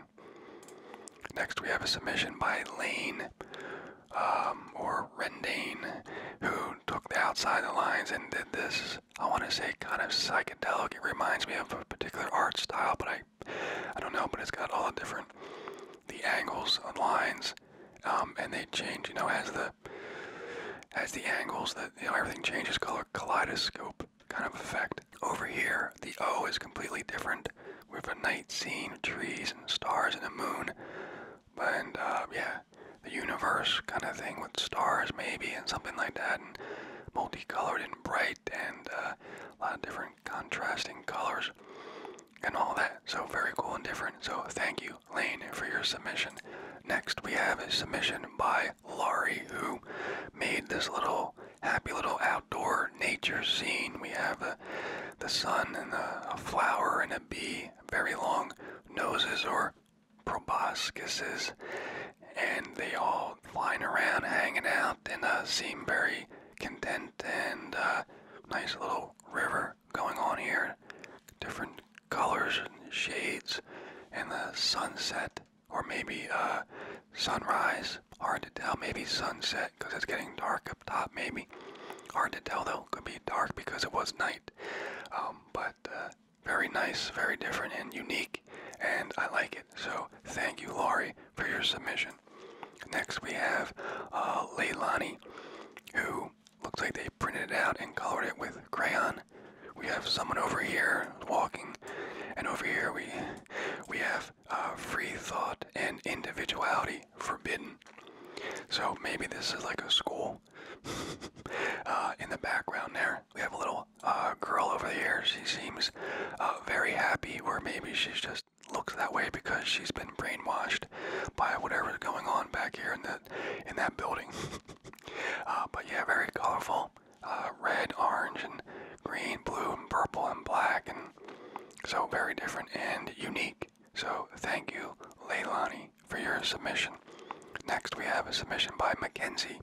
Next, we have a submission by Lane um, or Rendane, who took the outside the lines and did this. I want to say kind of psychedelic. It reminds me of a particular art style, but I, I don't know. But it's got all the different, the angles and lines, um, and they change. You know, as the as the angles that everything changes color kaleidoscope kind of effect. Over here, the O is completely different with a night scene, trees and stars and a moon, and uh, yeah, the universe kind of thing with stars maybe and something like that, and multicolored and bright and uh, a lot of different contrasting colors and all that. So very cool and different. So thank you. Lane, for your submission. Next, we have a submission by Laurie, who made this little happy little outdoor nature scene. We have uh, the sun and a, flower and a bee, very long noses or proboscises, and they all flying around, hanging out, and uh, seem very content and uh, nice little river going on here. Different colors and shades, and the sunset, or maybe uh, sunrise. Hard to tell. Maybe sunset because it's getting dark up top. Maybe hard to tell though. Could be dark because it was night. Um, but uh, very nice, very different and unique, and I like it. So thank you, Laurie, for your submission. Next we have uh, Leilani, who looks like they printed it out and colored it with crayon. We have someone over here walking, and over here we we have uh, free thought and individuality forbidden. So maybe this is like a school. (laughs) Uh, in the background there, we have a little uh, girl over here. She seems very happy, or maybe she's just looks that way because she's been brainwashed by whatever's going on back here in that in that building. (laughs) Uh, but yeah, very colorful. Uh, red, orange, and green, blue, and purple, and black, and so very different and unique. So thank you, Leilani, for your submission. Next, we have a submission by Mackenzie,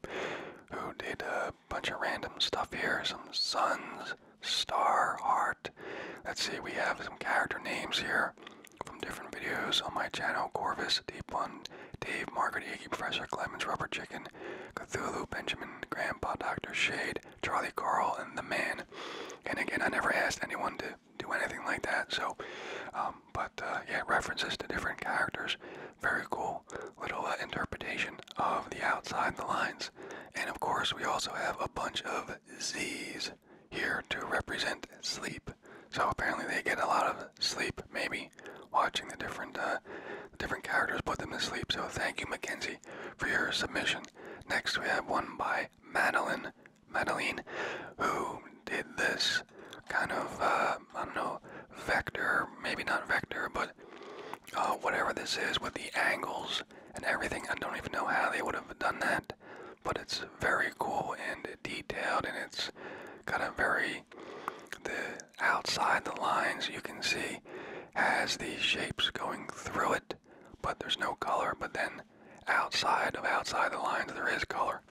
who did a bunch of random stuff here. Some suns, star, art. Let's see, we have some character names here from different videos on my channel Corvus, Deep One, Dave, Margaret, Iggy, Professor Clemens, Rubber Chicken, Cthulhu, Benjamin, Grandpa, Dr. Shade, Charlie Carl, and The Man. And again, I never asked anyone to do anything like that, so, um, but uh, yeah, references to different characters. Very cool little uh, interpretation of the outside the lines. And of course, we also have a bunch of Z's here to represent sleep. So apparently they get a lot of sleep, maybe watching the different uh, different characters put them to sleep. So thank you, McKenzie, for your submission. Next we have one by Madeline, Madeline, who did this kind of uh, I don't know vector, maybe not vector, but uh, whatever this is with the angles and everything. I don't even know how they would have done that but it's very cool and detailed and it's got a very the outside the lines you can see has these shapes going through it but there's no color but then outside of outside the lines there is color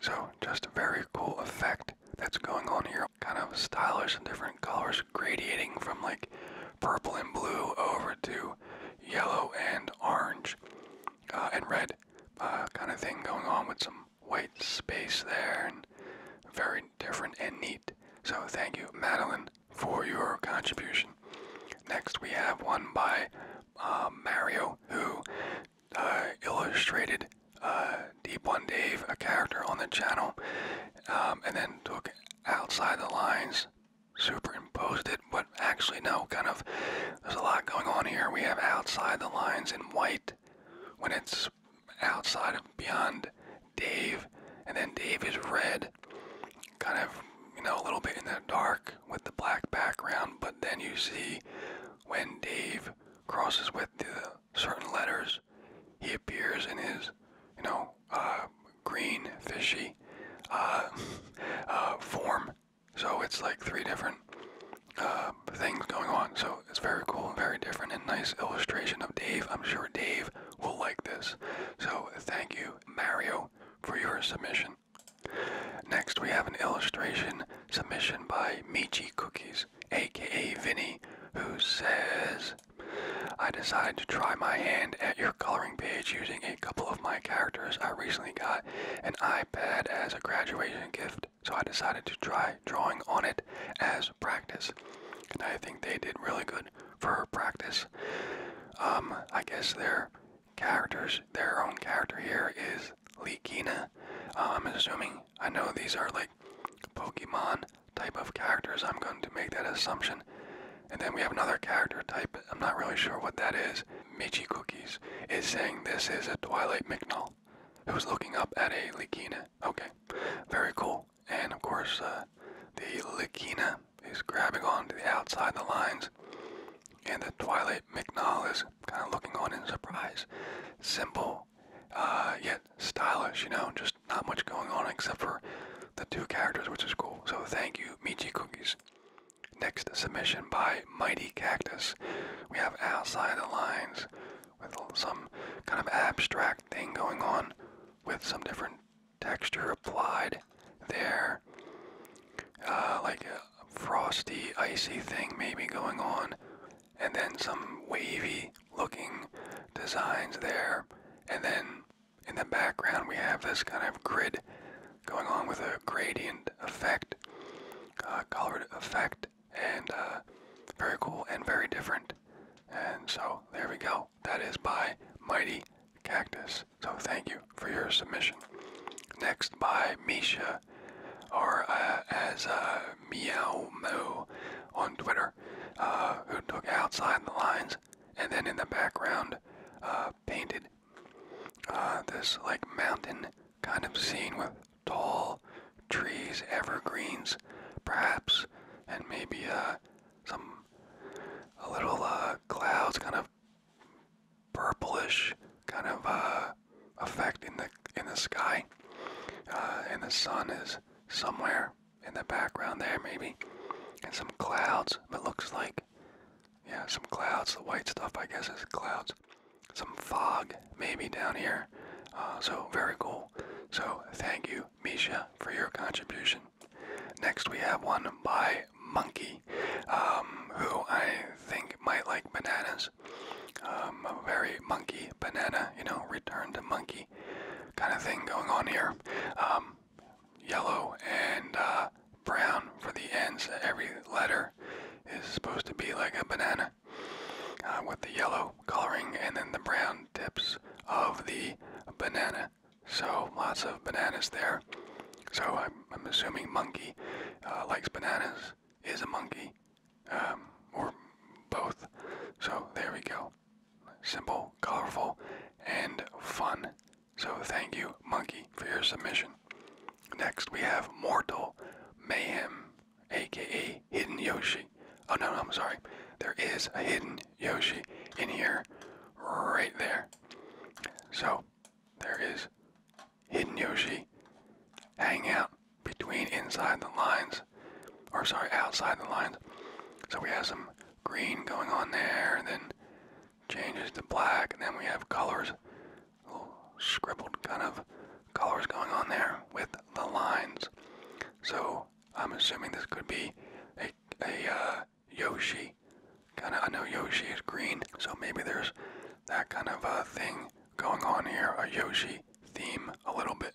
so just a very cool effect that's going on here kind of stylish and different colors gradating from like purple and blue over to yellow and orange uh, and red uh, kind of thing going on with some white space there and very different and neat. So thank you, Madeline, for your contribution. Next, we have one by uh, Mario, who uh, illustrated Deep One Dave, a character on the channel, um, and then took outside the lines, superimposed it, but actually, no, kind of there's a lot going on here. We have outside the lines in white when it's outside of beyond Dave, and then Dave is red, kind of, you know, a little bit in the dark with the black background, but then you see when Dave crosses with certain letters, he appears in his, you know, uh, green, fishy uh, (laughs) uh, form. So it's like three different uh, things going on. So it's very cool and very different and nice illustration of Dave. I'm sure Dave will like this. So thank you, Mario, for your submission. Next, we have an illustration submission by Michi Cookies, aka Vinny, who says, I decided to try my hand at your coloring page using a couple of my characters I recently got an iPad as a graduation gift so I decided to try drawing on it as practice. And I think they did really good for practice. Um, I guess their characters, their own character here is Leakina. Uh, I'm assuming, I know these are like Pokemon type of characters. I'm going to make that assumption. And then we have another character type. I'm not really sure what that is. Michi Cookies is saying this is a Twilight McNall who's looking up at a Likina. Okay, very cool. And of course, uh, the Likina is grabbing on to the outside the lines, and the Twilight McNall is kind of looking on in surprise. Simple, uh, yet stylish, you know, just not much going on except for the two characters, which is cool. So thank you, Michi Cookies. Next submission by Mighty Cactus. We have outside the lines with some kind of abstract thing going on with some different texture applied there. Uh, like a frosty, icy thing maybe going on. And then some wavy looking designs there. And then in the background we have this kind of grid going on with a gradient effect, uh, colored effect, and uh, very cool and very different. And so there we go. That is by Mighty Cactus. So thank you for your submission. Next by Misha, or uh, as uh, Meow Mo on Twitter, uh, who took outside the lines and then in the background painted this like mountain kind of scene with tall trees, evergreens, perhaps, and maybe uh, some a little uh, clouds, kind of purplish kind of uh, effect in the in the sky, uh, and the sun is somewhere in the background there, maybe, and some clouds. But looks like, yeah, some clouds. The white stuff, I guess, is clouds some fog maybe down here. Uh, so very cool. So thank you, Misha, for your contribution. Next we have one by Monkey, um, who I think might like bananas. Um, a very monkey banana, you know, return to monkey kind of thing going on here. Um, yellow and uh, brown for the ends, of every letter is supposed to be like a banana uh, with the yellow coloring and then the brown tips of the banana. So lots of bananas there. So I'm, assuming monkey uh, likes bananas, is a monkey, um, or both. So there we go. Simple, colorful, and fun. So thank you, monkey, for your submission. Next, we have Mortal Mayhem, aka Hidden Yoshi. Oh no, I'm sorry. There is a hidden Yoshi in here, right there. So, there is Hidden Yoshi hanging out between inside the lines, or sorry, outside the lines. So we have some green going on there, and then changes to black, and then we have colors little scribbled kind of colors going on there with the lines. So I'm assuming this could be a, a uh, Yoshi. Kind of, I know Yoshi is green, so maybe there's that kind of a uh, thing going on here, a Yoshi theme a little bit.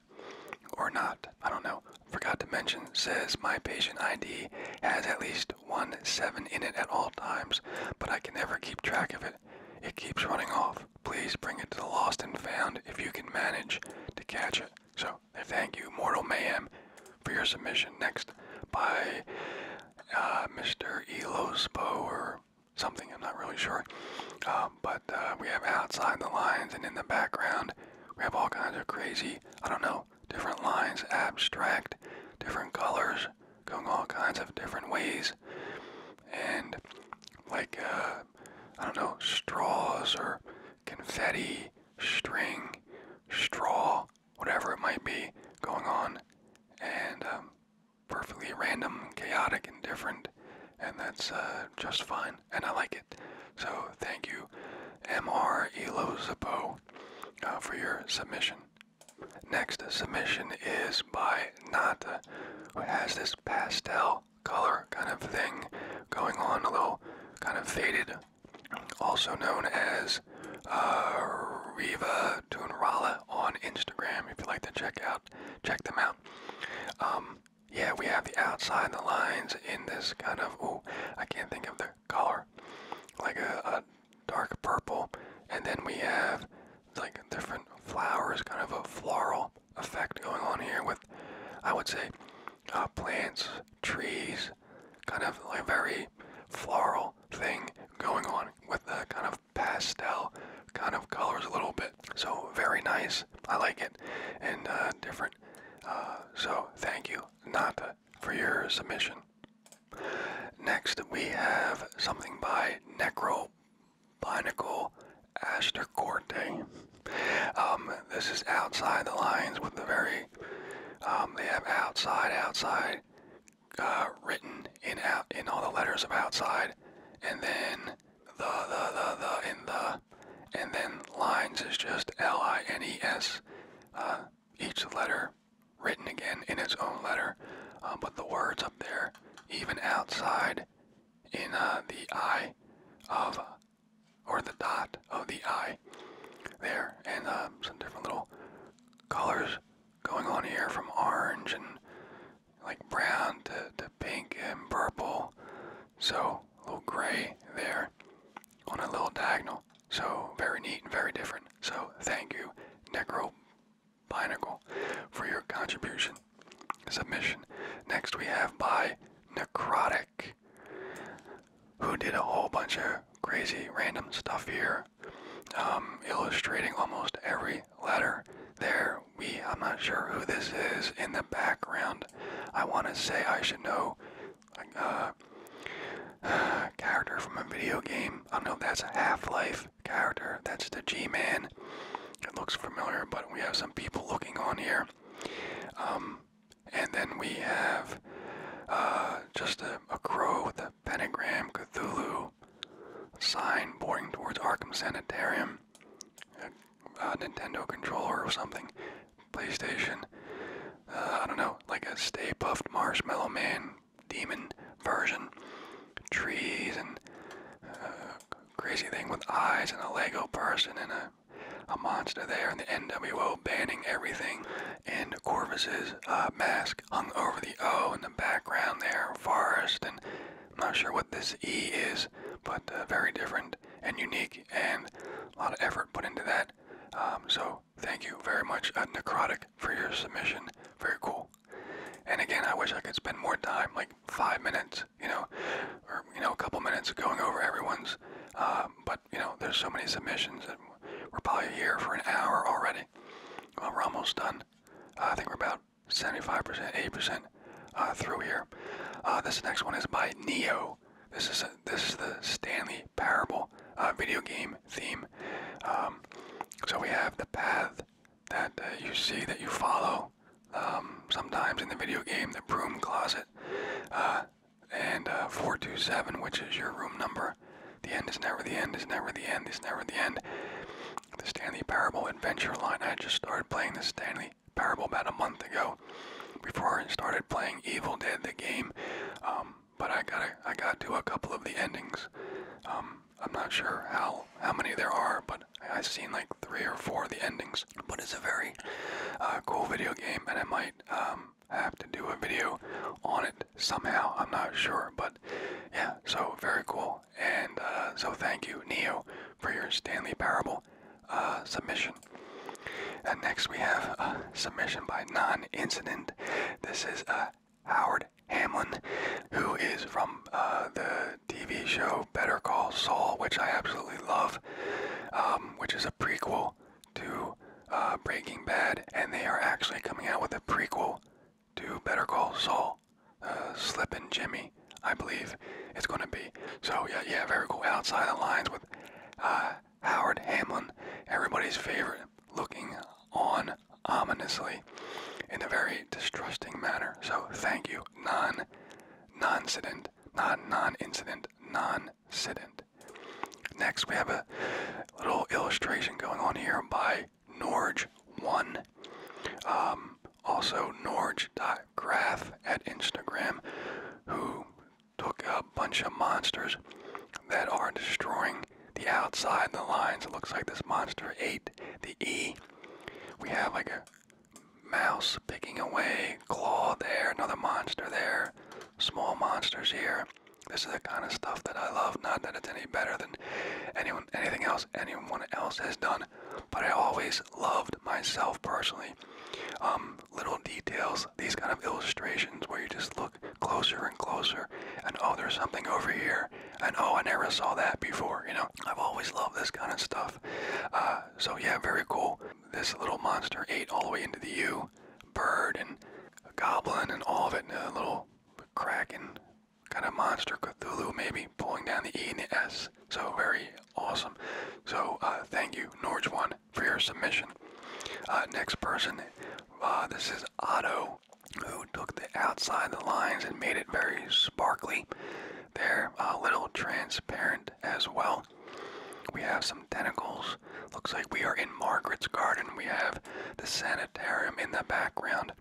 Or not, I don't know. Forgot to mention, says my patient ID has at least one 7 in it at all times, but I can never keep track of it. It keeps running off. Please bring it to the lost and found if you can manage to catch it. So, thank you, Mortal Mayhem, for your submission. Next, by uh, Mr. Elospo or something, I'm not really sure. Um, but uh, we have outside the lines and in the background, we have all kinds of crazy, I don't know, different lines, abstract, different colors, going all kinds of different ways. And like, uh, I don't know, straws or confetti, string, straw, whatever it might be going on. And um, perfectly random, chaotic, and different. And that's uh, just fine. And I like it. So thank you, M. R. Elozapo, uh, for your submission. Next submission is by Nata, uh, who has this pastel color kind of thing going on, a little kind of faded, also known as uh, Riva Tunrala on Instagram. If you like to check out, check them out. Um, yeah, we have the outside the lines in this kind of oh, I can't think of the color, like a dark purple, and then we have like different flowers, kind of a floral effect going on here with, I would say, uh, plants, trees, kind of like a very floral thing going on with the kind of pastel kind of colors a little bit. So very nice. I like it and uh, different. Uh, so thank you, Nata, for your submission. Next, we have something by Necro Pinnacle Astorcorte. Um, this is outside the lines with the very, um, they have outside, outside, uh, written in out in all the letters of outside, and then the the the the in the, and then lines is just L I N E S, uh, each letter written again in its own letter, um, but the words there, even outside in uh, the eye of, or the dot of the eye there. And uh, some different little colors going on here from orange and like brown to, to pink and purple. So little gray there on a little diagonal. So very neat and very different. So thank you, Necro Binagle, for your contribution submission. Next, we have by Necrotic, who did a whole bunch of crazy random stuff here, um, illustrating almost every letter there. We, I'm not sure who this is in the background. I want to say I should know. Like, uh, (sighs) character from a video game. I don't know that's Half Life character. That's the G-Man. It looks familiar, but we have some people looking on here. Um, and then we have uh, just a, crow with a pentagram, Cthulhu sign pointing towards Arkham Sanitarium, a, Nintendo controller or something, PlayStation. Uh, I don't know, like a Stay Puffed Marshmallow Man demon version. Trees and uh, crazy thing with eyes and a Lego person and a, a monster there and the NWO banning everything and Corvus's uh, mask hung over the O in the background there, forest and I'm not sure what this E is, but uh, very different and unique and a lot of effort put into that. Um, so thank you very much, Necrotic, for your submission. Very cool. And again, I wish I could spend more time, like five minutes, you know, or you know, a couple minutes going over everyone's. Uh, but you know, there's so many submissions, and we're probably here for an hour already. Well, we're almost done. I think we're about 75%, 80% uh, through here. Uh, this next one is by Neo. This is this is the Stanley Parable video game theme. Um, so we have the path that you see that you follow um, sometimes in the video game, the broom closet, uh, and uh, 427, which is your room number. The end is never the end, is never the end, is never the end. The Stanley Parable Adventure line. I just started playing the Stanley Parable about a month ago before I started playing Evil Dead, the game. Um, but I got, I got to a couple of the endings. Um, I'm not sure how how many there are, but I've seen like three or four of the endings. But it's a very uh, cool video game, and I might um, have to do a video on it somehow. I'm not sure, but yeah, so very cool. And uh, so thank you, Neo, for your Stanley Parable uh, submission. And next we have a submission by Non Incident. This is a Howard Hamlin, who is from uh, the TV show Better Call Saul, which I absolutely love, um, which is a prequel to uh, Breaking Bad, and they are actually coming out with a prequel to Better Call Saul, uh, Jimmy, I believe it's going to be. So yeah, yeah, very cool. Outside the lines with uh, Howard Hamlin, everybody's favorite looking on ominously in a very distrusting manner. So thank you, non non-incident, non non-incident, non-incident. Next, we have a little illustration going on here by Norge1. Um, also, Norge.graph at Instagram, who took a bunch of monsters that are destroying the outside the lines. It looks like this monster ate the E we have like a mouse picking away, claw there, another monster there, small monsters here. This is the kind of stuff that I love. Not that it's any better than anyone, anything else anyone else has done, but I always loved myself personally. Um, little details, these kind of illustrations where you just look closer and closer, and oh, there's something over here, and oh, I never saw that before. You know, I've always loved this kind of stuff. Uh, so yeah, very cool. This little monster ate all the way into the U. Bird and goblin and all of it, and a little cracking kind of monster, Cthulhu maybe, pulling down the E and the S. So very awesome. So uh, thank you, Norge One, for your submission. Uh, next person, this is Otto who took the outside the lines and made it very sparkly. They're uh, a little transparent as well. We have some tentacles. Looks like we are in Margaret's garden. We have the sanitarium in the background.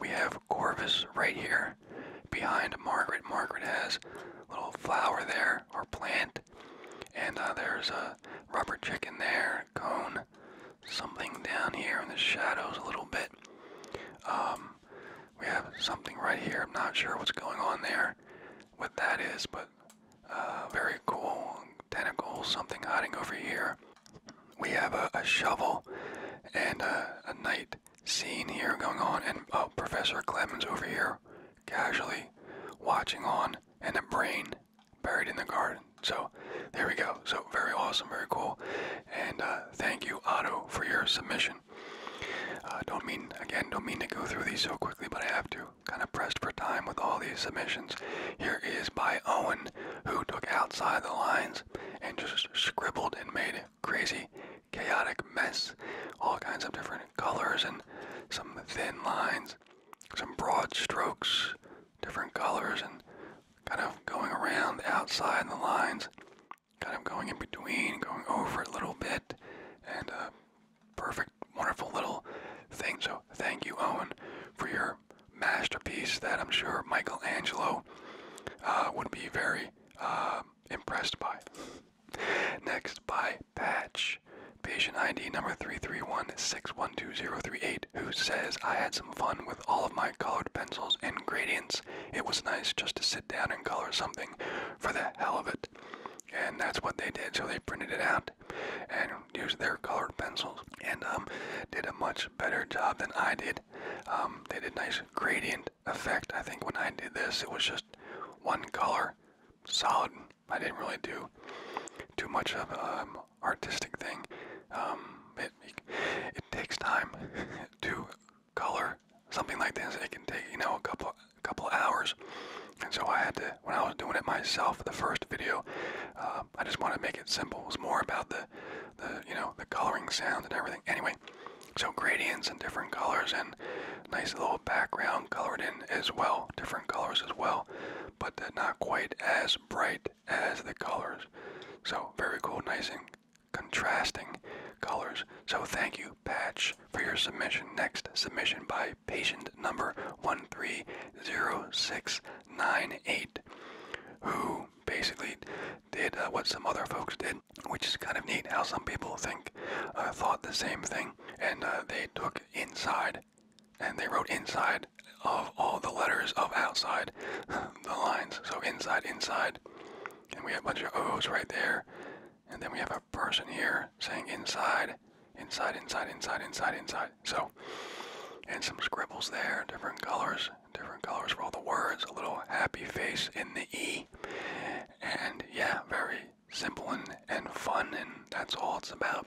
We have Corvus right here behind Margaret. Margaret has a little flower there, or plant. And uh, there's a rubber chicken there, cone, something down here in the shadows a little bit. Um, we have something right here. I'm not sure what's going on there, what that is, but uh, very cool tentacles, something hiding over here. We have a, shovel and a, night scene here going on, and oh, Professor Clemens over here casually watching on, and a brain buried in the garden. So there we go. So very awesome, very cool, and uh, thank you, Otto, for your submission. Uh, don't mean again, don't mean to go through these so quickly, but I have to. Kind of pressed for time with all these submissions. Here is by Owen, who took outside the lines and just scribbled and made a crazy, chaotic mess. All kinds of different colors and some thin lines, some broad strokes, different colors, and kind of going around outside the lines kind of going in between, going over a little bit, and uh, perfect, wonderful little thing. So thank you, Owen, for your masterpiece that I'm sure Michelangelo uh, would be very uh, impressed by. Next, by Patch, patient ID number 331612038, who says, I had some fun with? all of my colored pencils and gradients. It was nice just to sit down and color something for the hell of it. And that's what they did. So they printed it out and used their colored pencils and um, did a much better job than I did. Um, they did nice gradient effect. I think when I did this, it was just one color, solid. I didn't really do too much of an um, artistic thing. it takes time (laughs) to color, something like this. It can take you know a couple a couple hours, and so I had to when I was doing it myself for the first video. Um, I just want to make it simple. It was more about the the you know the coloring sound and everything. Anyway, so gradients and different colors and nice little background colored in as well, different colors as well, but not quite as bright as the colors. So very cool, nice and contrasting colors. So thank you, Patch, for your submission. Next submission by patient number 130698, who basically did uh, what some other folks did, which is kind of neat how some people think, uh, thought the same thing, and uh, they took inside and they wrote inside of all the letters of outside (laughs) the lines. So inside, inside and we have a bunch of O's right there. And then we have a person here saying inside, inside, inside, inside, inside, inside. So, and some scribbles there, different colors, different colors for all the words, a little happy face in the E. And yeah, very simple and, and fun, and that's all it's about.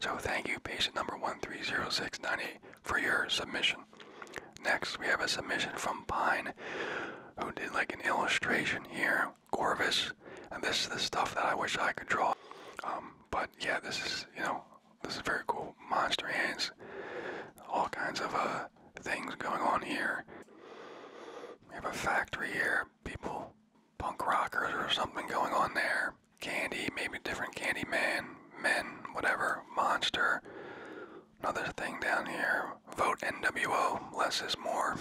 So thank you, patient number one three zero six ninety, for your submission. Next, we have a submission from Pine, who did like an illustration here, Corvus, and this is the stuff that I wish I could draw. Um, but yeah, this is you know this is very cool. Monster hands, all kinds of uh, things going on here. We have a factory here, people, punk rockers or something going on there. Candy, maybe different candy man, men, whatever, monster, Another thing down here vote NWO, less is more.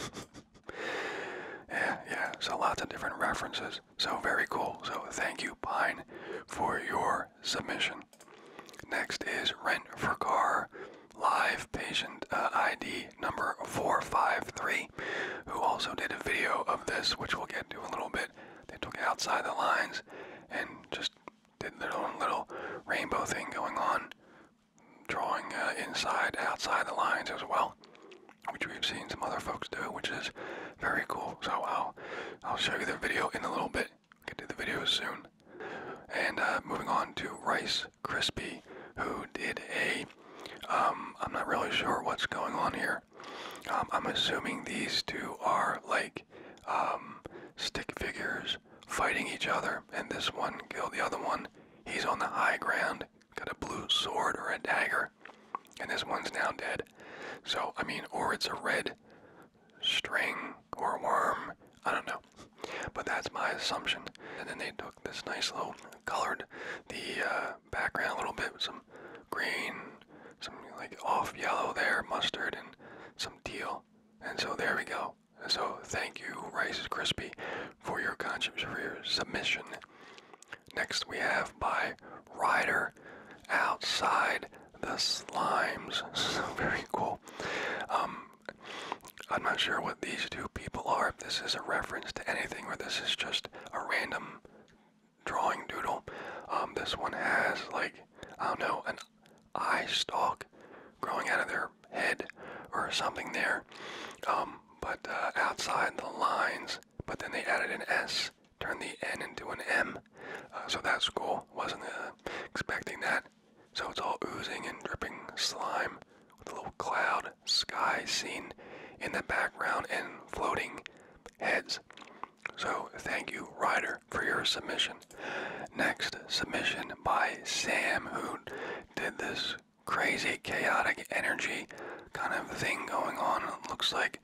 (laughs) yeah, yeah, so lots of different references. So very cool. So thank you, Pine, for your submission. Next is Rent for Car Live Patient uh, ID number 453, who also did a video of this, which we'll get to a little bit. They took it outside the lines and just did their own little rainbow thing going on, drawing uh, inside, outside the lines as well, which we've seen some other folks do, which is very cool. So I'll, I'll show you the video in a little bit. Get to the video soon. And uh, moving on to Rice Krispie, who did a, um, I'm not really sure what's going on here. Um, I'm assuming these two are like um, stick figures fighting each other, and this one killed the other one. He's on the high ground, got a blue sword or a dagger, and this one's now dead. So, I mean, or it's a red string or worm. I don't know. But that's my assumption. And then they took this nice little colored the uh, background a little bit with some green, some like off yellow there, mustard, and some teal and so there we go. So thank you, Rice Krispy, for your conscience for your submission. Next we have by Ryder Outside the Slimes. (laughs) So very cool. Um, I'm not sure what these two people are, if this is a reference to anything or this is just a random drawing doodle. Um, this one has like I don't know, eye stalk growing out of their head or something there, um, but uh, outside the lines. But then they added an S, turned the N into an M. Uh, so that's cool. Wasn't uh, expecting that. So it's all oozing and dripping slime with a little cloud sky scene in the background and floating heads. So thank you, Ryder, for your submission. Next submission by Sam, who did this crazy chaotic energy kind of thing going on. looks like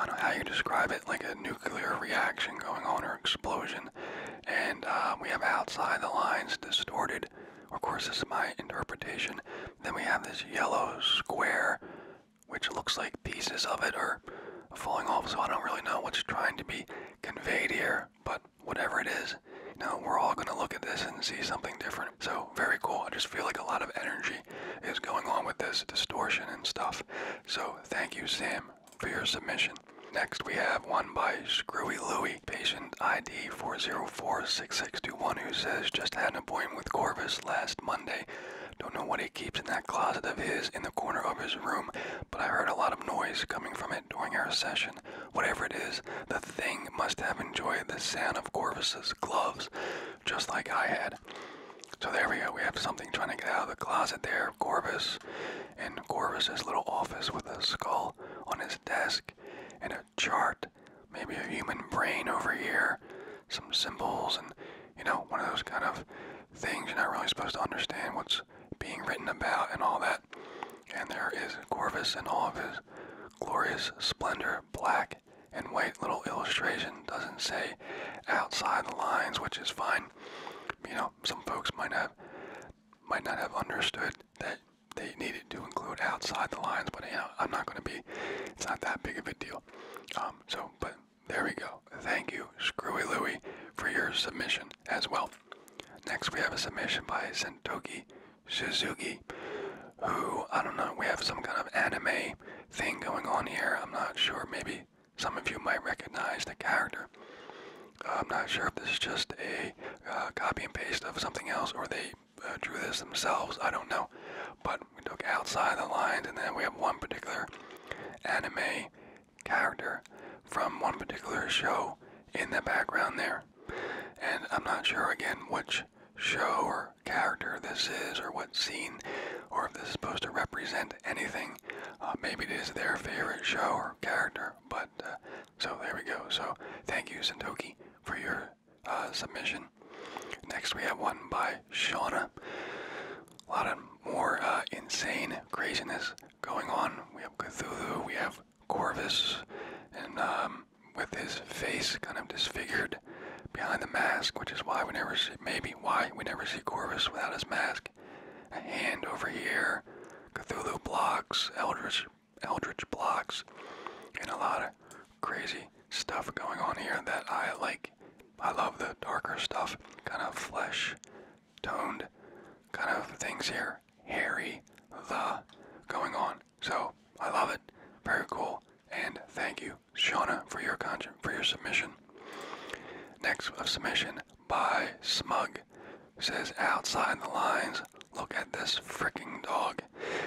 I don't know how you describe it, like a nuclear reaction going on or explosion. And uh, we have outside the lines distorted. Of course, this is my interpretation. Then we have this yellow square, which looks like pieces of it or falling off, so I don't really know what's trying to be conveyed here, but whatever it is, now we're all going to look at this and see something different. So, very cool. I just feel like a lot of energy is going on with this distortion and stuff. So, thank you, Sam, for your submission. Next, we have one by Screwy Louie, patient ID 4046621, who says just had a appointment with Corvus last Monday. Don't know what he keeps in that closet of his in the corner of his room, but I heard a lot of noise coming from it during our session. Whatever it is, the thing must have enjoyed the sound of Corvus's gloves, just like I had. So there we go, we have something trying to get out of the closet there, Corvus, in Corvus's little office with a skull on his desk, and a chart, maybe a human brain over here, some symbols, and you know, one of those kind of things you're not really supposed to understand what's being written about and all that. And there is Corvus and all of his glorious splendor, black and white little illustration. Doesn't say outside the lines, which is fine. You know, some folks might have might not have understood that they needed to include outside the lines, but you know, I'm not going to be. It's not that big of a deal. Um, so, but there we go. Thank you, Screwy Louie, for your submission as well. Next, we have a submission by Sentoki Suzuki, who, I don't know, we have some kind of anime thing going on here. I'm not sure. Maybe some of you might recognize the character. Uh, I'm not sure if this is just a uh, copy and paste of something else or they uh, drew this themselves. I don't know. But we look outside the lines, and then we have one particular anime character from one particular show in the background there. And I'm not sure again which show or character this is or what scene or if this is supposed to represent anything. Uh, maybe it is their favorite show or character, but uh, so there we go. So thank you, Sintoki, for your uh, submission. Next, we have one by Shauna. A lot of more insane craziness going on. We have Cthulhu, we have Corvus, and um, with his face kind of disfigured behind the mask, which is why we never see, maybe why we never see Corvus without his mask. A hand over here, Cthulhu blocks, Eldritch, Eldritch blocks, and a lot of crazy stuff going on here that I like. I love the darker stuff, kind of flesh toned kind of things here. Harry the going on. So I love it. Very cool. And thank you, Shauna, for your con for your submission. Next of submission by Smug says outside the lines. Look at this freaking dog,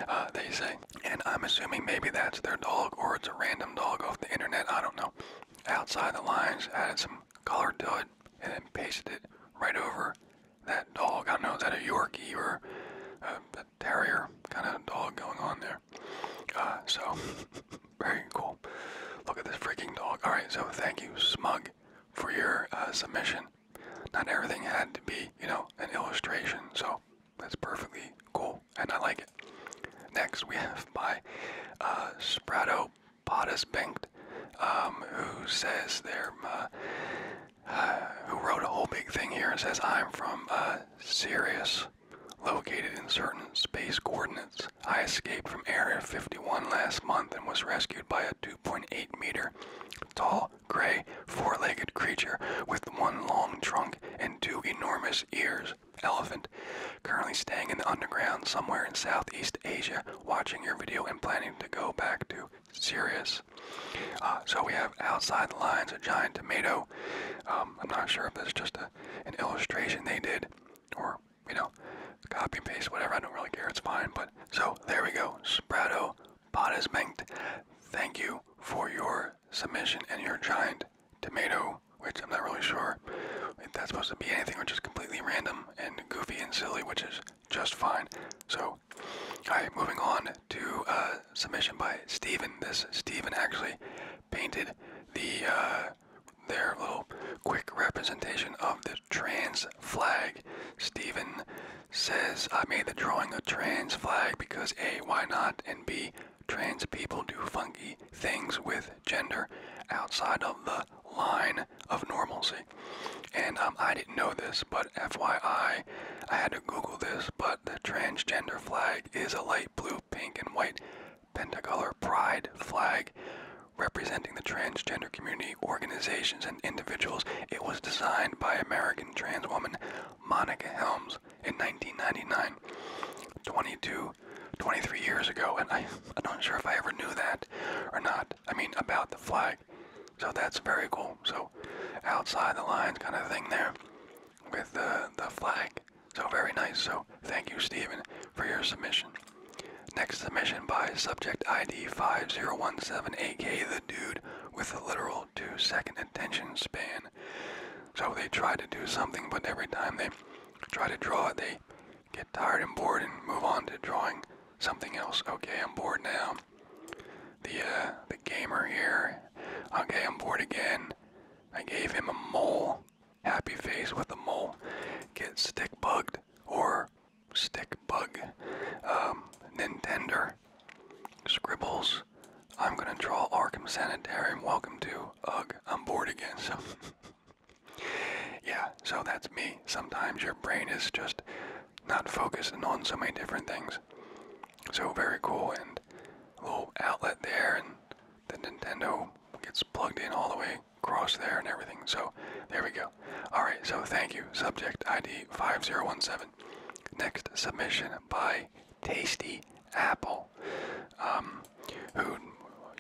uh, they say. And I'm assuming maybe that's their dog or it's a random dog off the internet. I don't know. Outside the lines added some colored it and then pasted it right over that dog. I don't know, that a Yorkie or a, terrier kind of dog going on there? Uh, so, (laughs) very cool. Look at this freaking dog. All right, so thank you, Smug, for your uh, submission. Not everything had to be, you know, an illustration, so that's perfectly cool, and I like it. Next, we have by uh, Sprato Bottas Banked, um, who says they're, uh, uh, who wrote a whole big thing here and says, I'm from uh, Sirius, located in certain space coordinates. I escaped from Area 51 last month and was rescued by a 2.8 meter tall, gray, four legged creature with one long trunk and two enormous ears. Elephant, currently staying in the underground somewhere in Southeast Asia, watching your video and planning to go back to Sirius. Uh, so we have outside the lines a giant tomato. Um, I'm not sure if this is just a, an illustration they did, or you know, copy and paste, whatever. I don't really care. It's fine. But so there we go. Sprato is Mengt. Thank you for your submission and your giant tomato which I'm not really sure if that's supposed to be anything or just completely random and goofy and silly, which is just fine. So, alright, moving on to uh, submission by Stephen. This Stephen actually painted the uh, their little quick representation of the trans flag. Stephen says, I made the drawing a trans flag because A, why not? And B, trans people do funky things with gender outside of the line of normalcy. And um, I didn't know this, but FYI, I had to Google this, but the transgender flag is a light blue, pink, and white pentacolor pride flag representing the transgender community, organizations, and individuals. It was designed by American trans woman Monica Helms in 1999. 22 23 years ago, and I, I'm not sure if I ever knew that or not. I mean, about the flag. So that's very cool. So outside the lines kind of thing there with the, the flag. So very nice. So thank you, Stephen, for your submission. Next submission by subject ID 5017, aka the dude with a literal two second attention span. So they try to do something, but every time they try to draw it, they get tired and bored and move on to drawing something else. Okay, I'm bored now. The uh, the gamer here. Okay, I'm bored again. I gave him a mole. Happy face with a mole. Get stick bugged or stick bug. Um, Nintendo. Scribbles. I'm gonna draw Arkham Sanitarium. Welcome to. Ugh, I'm bored again. So. (laughs) Yeah, so that's me. Sometimes your brain is just not focusing on so many different things. So very cool and little outlet there and the Nintendo gets plugged in all the way across there and everything. So there we go. Alright, so thank you. Subject ID 5017. Next submission by Tasty Apple. Um, who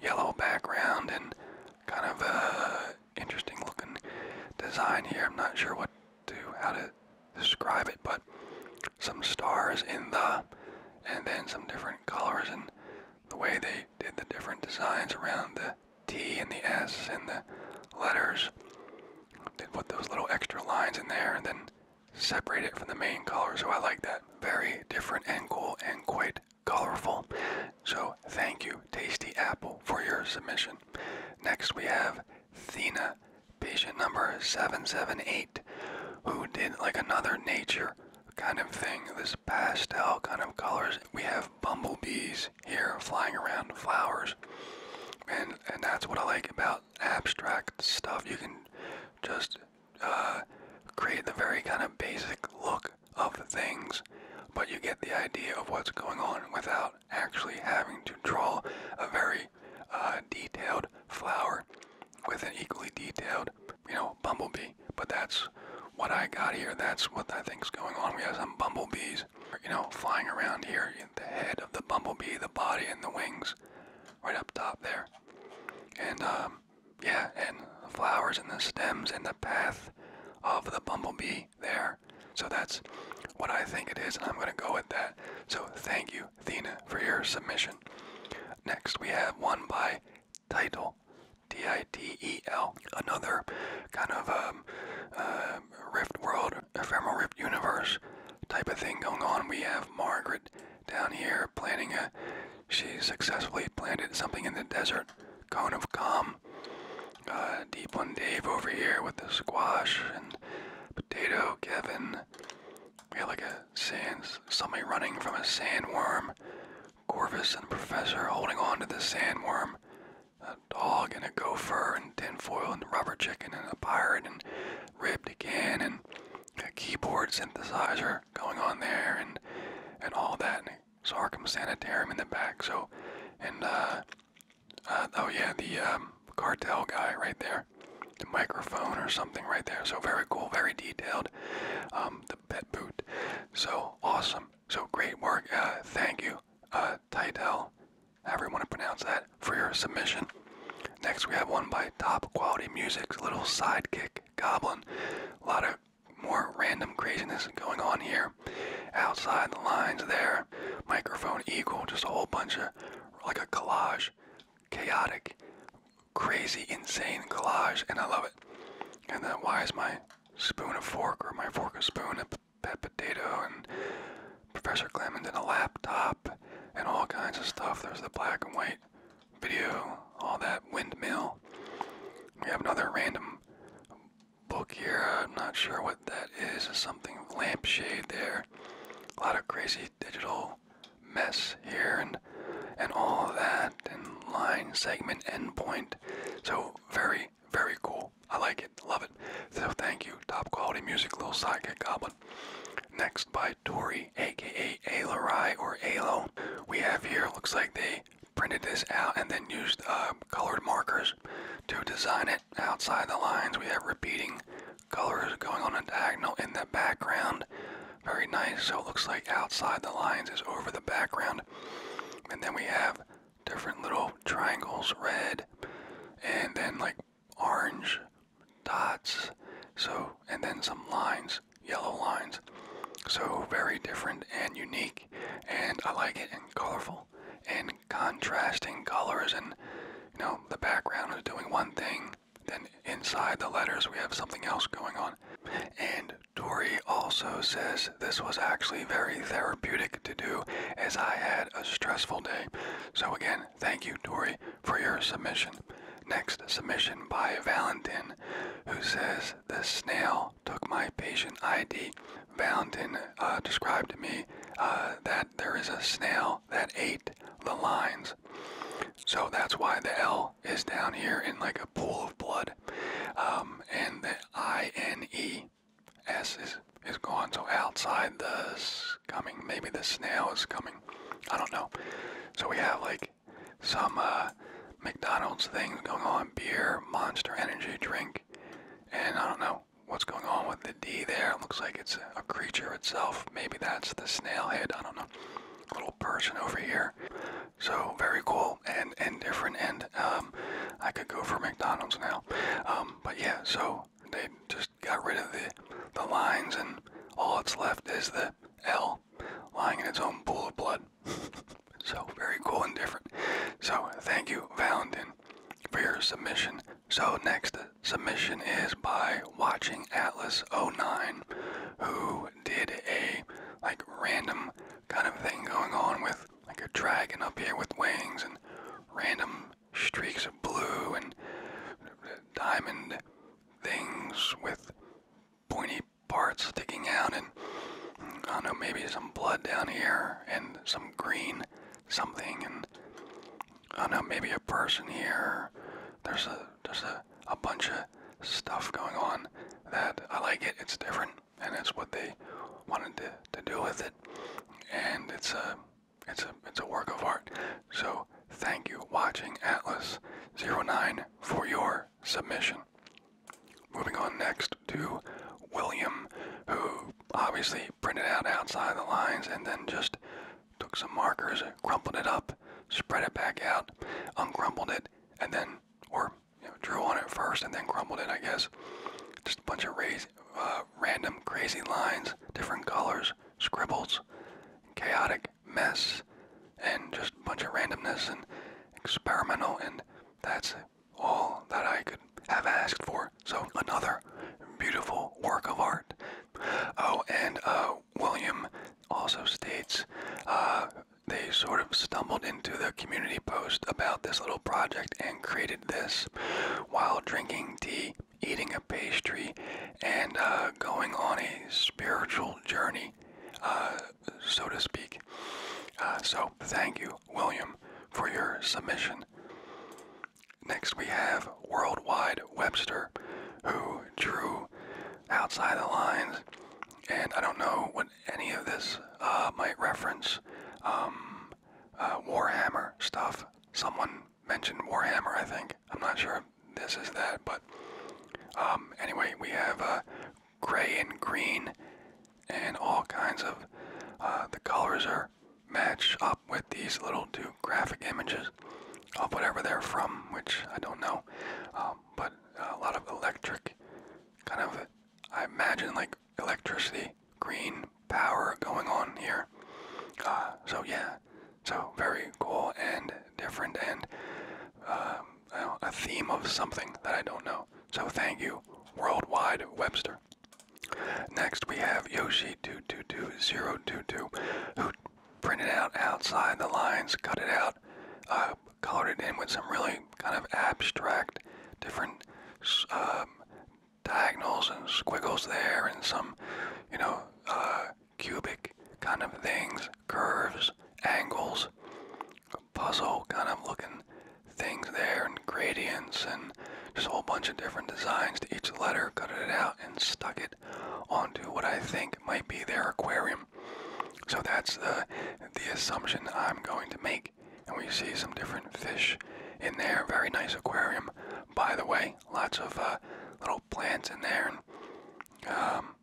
yellow background and kind of a uh, interesting looking design here. I'm not sure what to how to describe it, but some stars in the and then some different colors and the way they did the different designs around the T and the S and the letters. They put those little extra lines in there and then separate it from the main color. So I like that. Very different and cool and quite colorful. So thank you, Tasty Apple, for your submission. Next we have Thina, patient number 778, who did like another nature kind of thing, this pastel kind of colors. We have bumblebees here flying around flowers. And, and that's what I like about abstract stuff. You can just uh, create the very kind of basic look of the things, but you get the idea of what's going on without actually having to draw a very uh, detailed flower with an equally detailed, you know, bumblebee. But that's what I got here. That's what I think is going on. We have some bumblebees, you know, flying around here. The head of the bumblebee, the body, and the wings, right up top there. And um, yeah, and the flowers and the stems and the path of the bumblebee there. So that's what I think it is, and I'm going to go with that. So thank you, Athena, for your submission. Next, we have one by Title, T I T E L, another kind of um, uh, Rift World, Ephemeral Rift Universe type of thing going on. We have Margaret down here planning a, she successfully planted something in the desert cone of calm. Uh, Deep One Dave over here with the squash and potato. Kevin, we had like a sand, somebody running from a sandworm. Corvus and Professor holding on to the sandworm. A dog and a gopher and tinfoil and rubber chicken and a pirate and ribbed can and a keyboard synthesizer going on there and and all that and so Arkham Sanitarium in the back. So, and uh, uh, oh yeah, the um, cartel guy right there, the microphone or something right there. So very cool, very detailed. Um, the pet boot, so awesome, so great work. Uh, thank you, uh, Titel, however you want to pronounce that, for your submission. Next, we have one by Top Quality Music, little sidekick Goblin. A lot of more random craziness going on here. Outside the lines there, microphone equal, just a whole bunch of like a collage, chaotic, crazy, insane collage, and I love it. And then why is my spoon a fork or my fork a spoon a pet potato and Professor Clement in a laptop and all kinds of stuff. There's the black and white video, all that windmill. We have another random book here. I'm not sure what that is. It's something lampshade there. A lot of crazy digital mess here and and all that and line segment endpoint. So very very cool. I like it. Love it. So thank you. Top quality music. Little sidekick goblin. Next by Tori, aka Ailerai or Alo. We have here. Looks like they printed this out and then used uh, colored markers to design it outside the lines. We have repeating colors going on a diagonal in the background. Very nice. So it looks like outside the lines is over the background. And then we have different little triangles, red, and then like orange dots. So, and then some lines yellow lines. So very different and unique, and I like it and colorful and contrasting colors. And you know, the background is doing one thing, then inside the letters we have something else going on. And Dory also says this was actually very therapeutic to do as I had a stressful day. So again, thank you, Dory, for your submission. Next submission by Valentin, who says the snail took my patient ID. Valentin and uh, described to me uh, that there is a snail that ate the lines. So that's why the L is down here in like a pool of blood. Um, and the I-N-E S is, is gone. So outside this coming, maybe the snail is coming. I don't know. So we have like some uh, McDonald's things going on, beer, Monster Energy drink, and I don't know what's going on with the D there. looks like it's a creature itself. Maybe that's the snail head. I don't know. Little person over here. So very cool and and different. And um, I could go for McDonald's now. Um, but yeah, so they just got rid of the the lines and all that's left is the L lying in its own pool of blood. (laughs) so very cool and different. So thank you, Valentin, for your submission. So next submission is by Watching Atlas 09, who did a like random kind of thing going on with like a dragon up here with wings and random streaks of blue and diamond things with pointy parts sticking out and I know, maybe some blood down here and some green something and I know, maybe a person here. There's a there's a, a bunch of stuff going on that I like it. It's different and it's what they wanted to, to do with it. And it's a it's a it's a work of art. So thank you watching Atlas 09 for your submission. Moving on next to William, who obviously printed out outside the lines and then just took some markers, crumpled it up, spread it back out, uncrumpled it, and then, or drew on it first and then crumpled it, I guess. Just a bunch of uh, random crazy lines, different colors, scribbles, chaotic mess, and just a bunch of randomness and experimental and that's all that I could have asked for. So another beautiful work of art. Oh, and uh, William also states uh, they sort of stumbled into the community post about this little project and created this while drinking tea, eating a pastry, and uh, going on a spiritual journey, so to speak. so thank you, William, for your submission. Next, we have Worldwide Webster, who drew outside the lines, and I don't know what any of this uh, might reference. Um, uh, Warhammer stuff. Someone mentioned Warhammer, I think. I'm not sure this is that, but um, anyway, we have uh, gray and green, and all kinds of uh, the colors are match up with these little two graphic images of whatever they're from, which I don't know. Um, but a lot of electric, kind of, I imagine like electricity, green power going on here. Uh, so yeah, so very cool and different and uh, a theme of something that I don't know. So thank you, Worldwide Webster. Next we have Yoshi222022 who printed out outside the lines, cut it out, uh, colored it in with some really kind of abstract different um, diagonals and squiggles there and some, you know, uh, cubic kind of things, curves, angles, puzzle kind of looking things there and gradients and just a whole bunch of different designs to each letter, cut it out and stuck it onto what I think might be their aquarium. So that's the the assumption I'm going to make. And we see some different fish in there. Very nice aquarium, by the way. Lots of uh, little plants in there and um,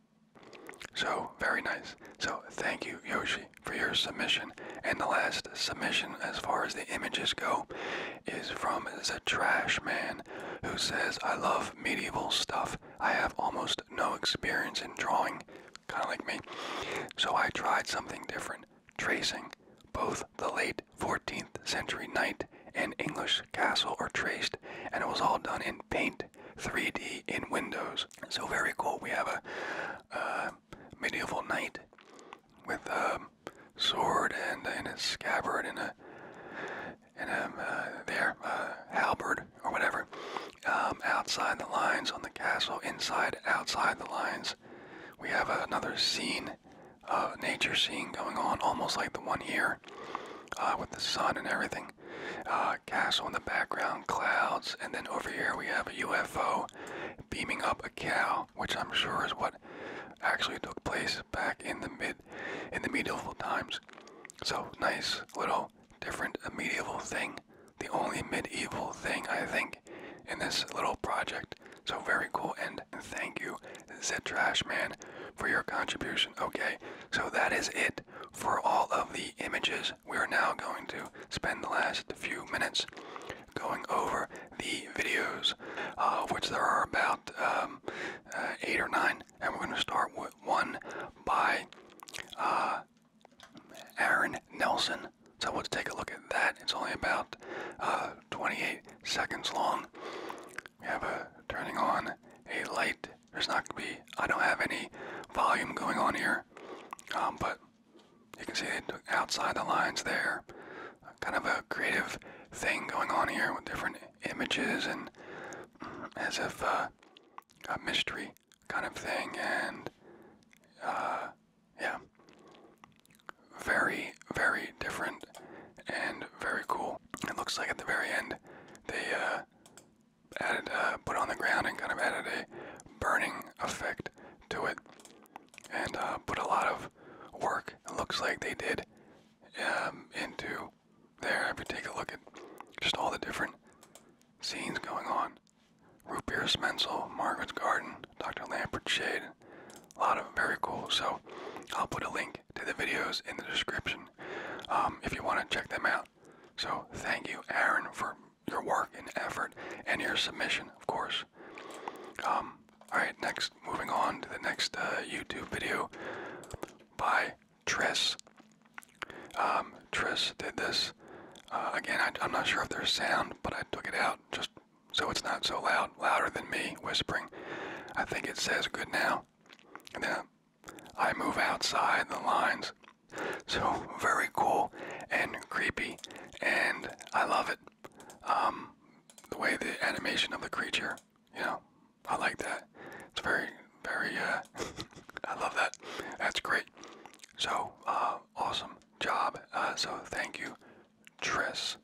so, very nice. So, thank you, Yoshi, for your submission. And the last submission, as far as the images go, is from the Trash Man, who says, I love medieval stuff. I have almost no experience in drawing, kind of like me. So, I tried something different tracing. Both the late 14th century knight and English castle are traced, and it was all done in paint 3D in Windows. So very cool. We have a medieval knight with a sword and, a scabbard and a and a um, uh, there uh, halberd or whatever um, outside the lines on the castle, inside outside the lines. We have another scene, uh, nature scene going on, almost like the one here, uh, with the sun and everything castle in the background, clouds, and then over here we have a UFO beaming up a cow, which I'm sure is what actually took place back in the mid in the medieval times. So nice little different medieval thing. The only medieval thing I think in this little project. So very cool and thank you, Zed Trash Man, for your contribution. Okay, so that is it for all of the images we are now going to spend the last few minutes going over the videos, uh, of which there are about um, uh, eight or nine, and we're going to start with one by uh, Aaron Nelson. So let's take a look at that. It's only about 28 seconds long. We have a turning on a light. There's not going to be, I don't have any volume going on here, um, but you can see they took outside the lines there. Kind of a creative thing going on here with different images and as if uh, a mystery kind of thing. And uh, yeah, very, very different and very cool. It looks like at the very end they uh, added, uh, put on the ground and kind of added a burning effect to it and uh, put a lot of work, it looks like they did, um, into there. If you take a look at just all the different scenes going on. Root Mensel, Margaret's Garden, Dr. Lampert Shade, a lot of very cool. So I'll put a link to the videos in the description um, if you want to check them out. So thank you, Aaron, for your work and effort and your submission, of course. Um, all right, next, moving on to the next uh, YouTube video by Triss. Um, Triss did this. Uh, again, I, I'm not sure if there's sound, but I took it out just so it's not so loud, louder than me whispering. I think it says good now. And then I move outside the lines so very cool and creepy, and I love it. Um, the way the animation of the creature, you know, I like that. It's very, very. Uh, (laughs) I love that. That's great. So uh, awesome job. Uh, so thank you, Tris,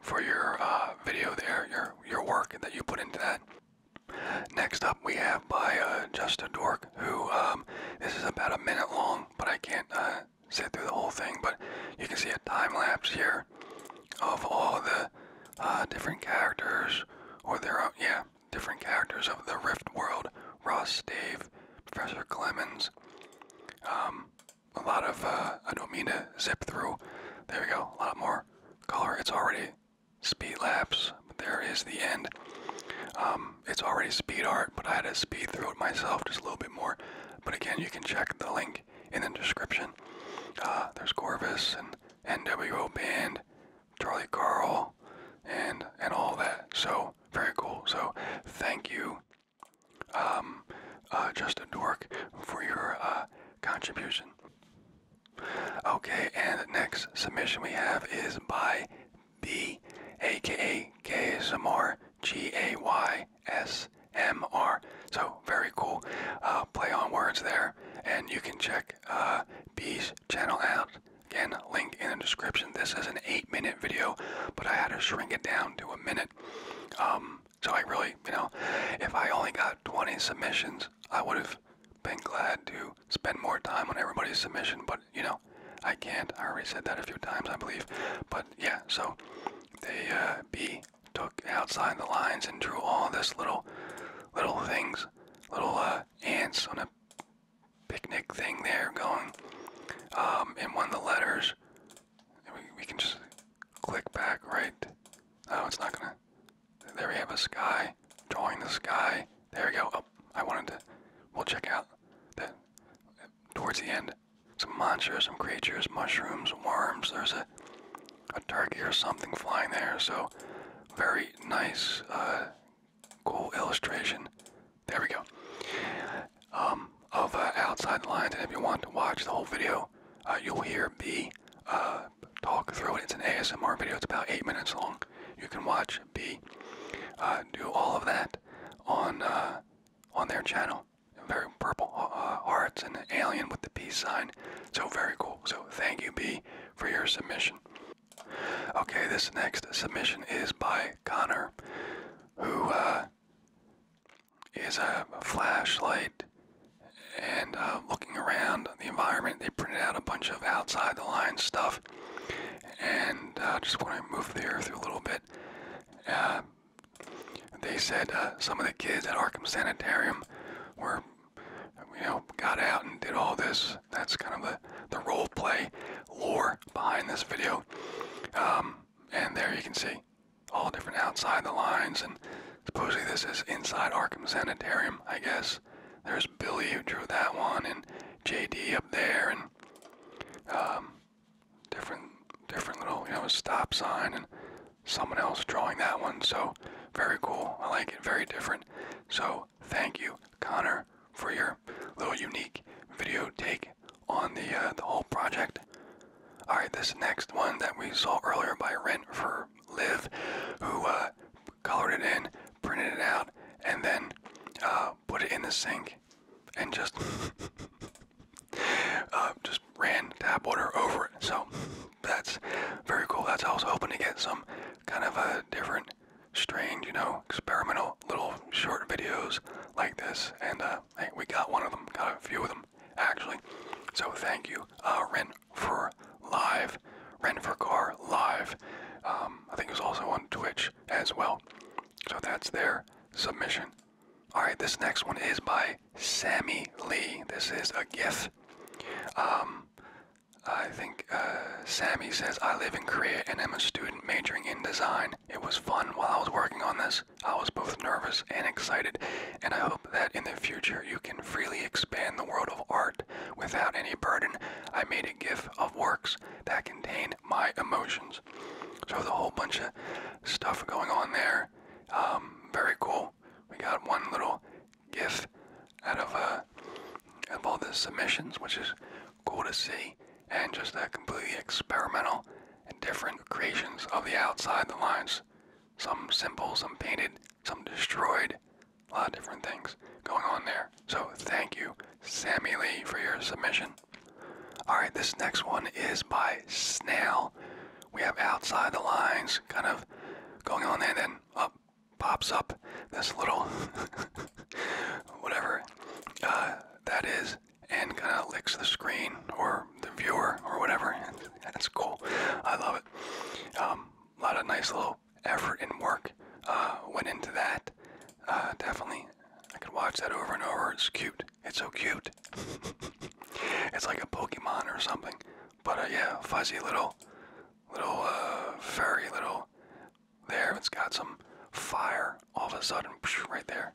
for your uh, video there, your your work that you put into that. Next up, we have by uh, Justin Dork, who um, this is about a minute long, but I can't uh, sit through the whole thing. But you can see a time lapse here of all the uh, different characters, or there are yeah, different characters of the Rift world. Ross, Dave, Professor Clemens. Um, a lot of I don't mean to zip through. There we go. A lot more color. It's already speed lapse there is the end. Um, it's already speed art, but I had to speed through it myself just a little bit more. But again, you can check the link in the description. Uh, there's Corvus and NWO Band, Charlie Carl, and and all that. So very cool. So thank you, um, uh, Justin Dork, for your uh, contribution. Okay, and next submission we have is by B, So very cool uh, play on words there, and you can check uh, B's channel out. Again, link in the description. This is an eight-minute video, but I had to shrink it down to a minute. Um, so I really, you know, if I only got 20 submissions, I would have been glad to spend more time on everybody's submission, but you know, I can't. I already said that a few times, I believe. But yeah, so they uh, B took outside the lines and drew all this little, little things, little uh, ants on a picnic thing there going. Um, and one of the letters, we, we can just click back, right? Oh, it's not gonna. There we have a sky, drawing the sky. There we go. Oh, I wanted to. We'll check out towards the end, some monsters, some creatures, mushrooms, worms. There's a a turkey or something flying there. So very nice, uh, cool illustration. There we go. Um, of uh, outside the lines, and if you want to watch the whole video, uh, you'll hear me talk through it. It's an ASMR video. It's about eight minutes long. You can watch be. Uh, do all of that on uh, on their channel. Very purple uh, arts and alien with the peace sign. So very cool. So thank you, Be, for your submission. Okay, this next submission is by Connor, who is a flashlight and looking around the environment. They printed out a bunch of outside the line stuff and uh, just want to move the earth a little bit. Uh, they said uh, some of the kids at Arkham Sanitarium were, you know, got out and did all this. That's kind of the, the role play lore behind this video. Um, and there you can see all different outside the lines. And supposedly this is inside Arkham Sanitarium, I guess. There's Billy who drew that one and JD up there and um, different different little you know stop sign and someone else drawing that one so very cool i like it very different so thank you connor for your little unique video take on the uh, the whole project all right this next one that we saw earlier by rent for live who uh, colored it in printed it out and then uh, put it in the sink, and just (laughs) uh, just ran tap water over it. So that's very cool. That's how I was hoping to get some kind of a different, strange, you know, experimental little short videos like this. And uh, we got one of them, got a few of them actually. So thank you, uh, for Live, Rent for Car Live. Um, I think it was also on Twitch as well. So that's their submission. Alright, this next one is by Sammy Lee. This is a GIF. Um, I think uh, Sammy says, I live in Korea and am a student majoring in design. It was fun while I was working on this. I was both nervous and excited, and I hope that in the future you can freely expand the world of art without any burden. I made a GIF of works that contain my emotions. So there's a whole bunch of stuff going on there. Um, very cool. We got one little GIF out of, out uh, of all the submissions, which is cool to see, and just that completely experimental and different creations of the outside the lines. Some simple, some painted, some destroyed. A lot of different things going on there. So thank you, Sammy Lee, for your submission. Alright, this next one is by Snail. We have outside the lines kind of going on there, and then up pops up this little (laughs) whatever uh, that is and kind of licks the screen or the viewer or whatever. And (laughs) it's cool. I love it. Um, a lot of nice little effort and work uh, went into that. Uh, definitely. I could watch that over and over. It's cute. It's so cute. (laughs) it's like a Pokemon or something. But uh, yeah, fuzzy little, little, uh, furry little. There, it's got some fire all of a sudden right there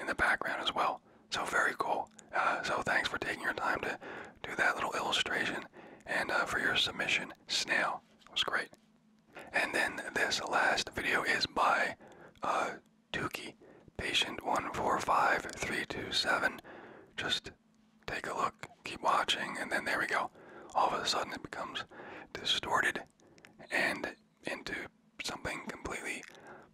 in the background as well. So very cool. Uh, so thanks for taking your time to do that little illustration and for your submission, Snail. It was great. And then this last video is by uh, Tukey, patient 145327. Just take a look, keep watching, and then there we go. All of a sudden it becomes distorted and into something completely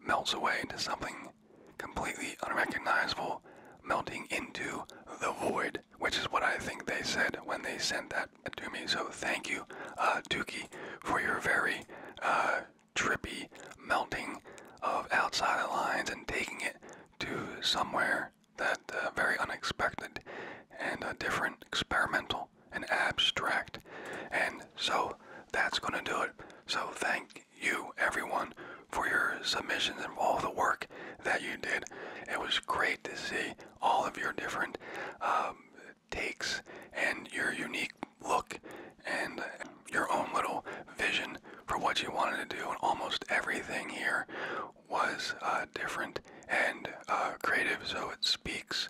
melts away into something completely unrecognizable, melting into the void, which is what I think they said when they sent that that me. So thank you, uh, Dookie, for your very uh, trippy melting of outside the lines and taking it to somewhere that uh, very unexpected and uh, different, experimental and abstract. And so that's going to do it. So thank you, everyone, for your submissions and all the work that you did. It was great to see all of your different um, takes and your unique look and your own little vision for what you wanted to do. And almost everything here was uh, different and uh, creative, so it speaks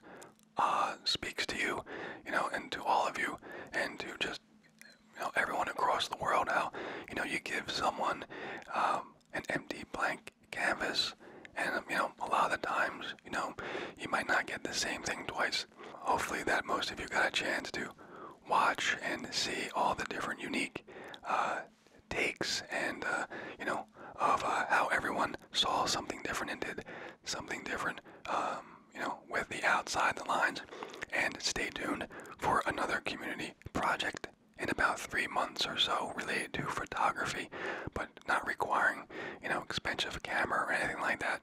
uh, speaks to you, you know, and to all of you, and to just you know everyone across the world. How you know you give someone um, an empty blank canvas. And, um, you know, a lot of the times, you know, you might not get the same thing twice. Hopefully, that most of you got a chance to watch and see all the different unique uh, takes and, uh, you know, of uh, how everyone saw something different and did something different, um, you know, with the outside the lines. And stay tuned for another community project in about three months or so related to photography. but not requiring, you know, expensive camera or anything like that.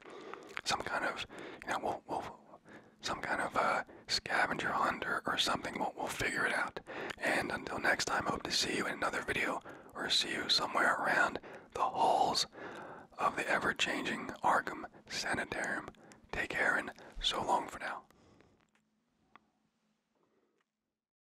Some kind of, you know, we'll, some kind of uh, scavenger hunt or, something. We'll, we'll figure it out. And until next time, hope to see you in another video or see you somewhere around the halls of the ever-changing Arkham Sanitarium. Take care and so long for now.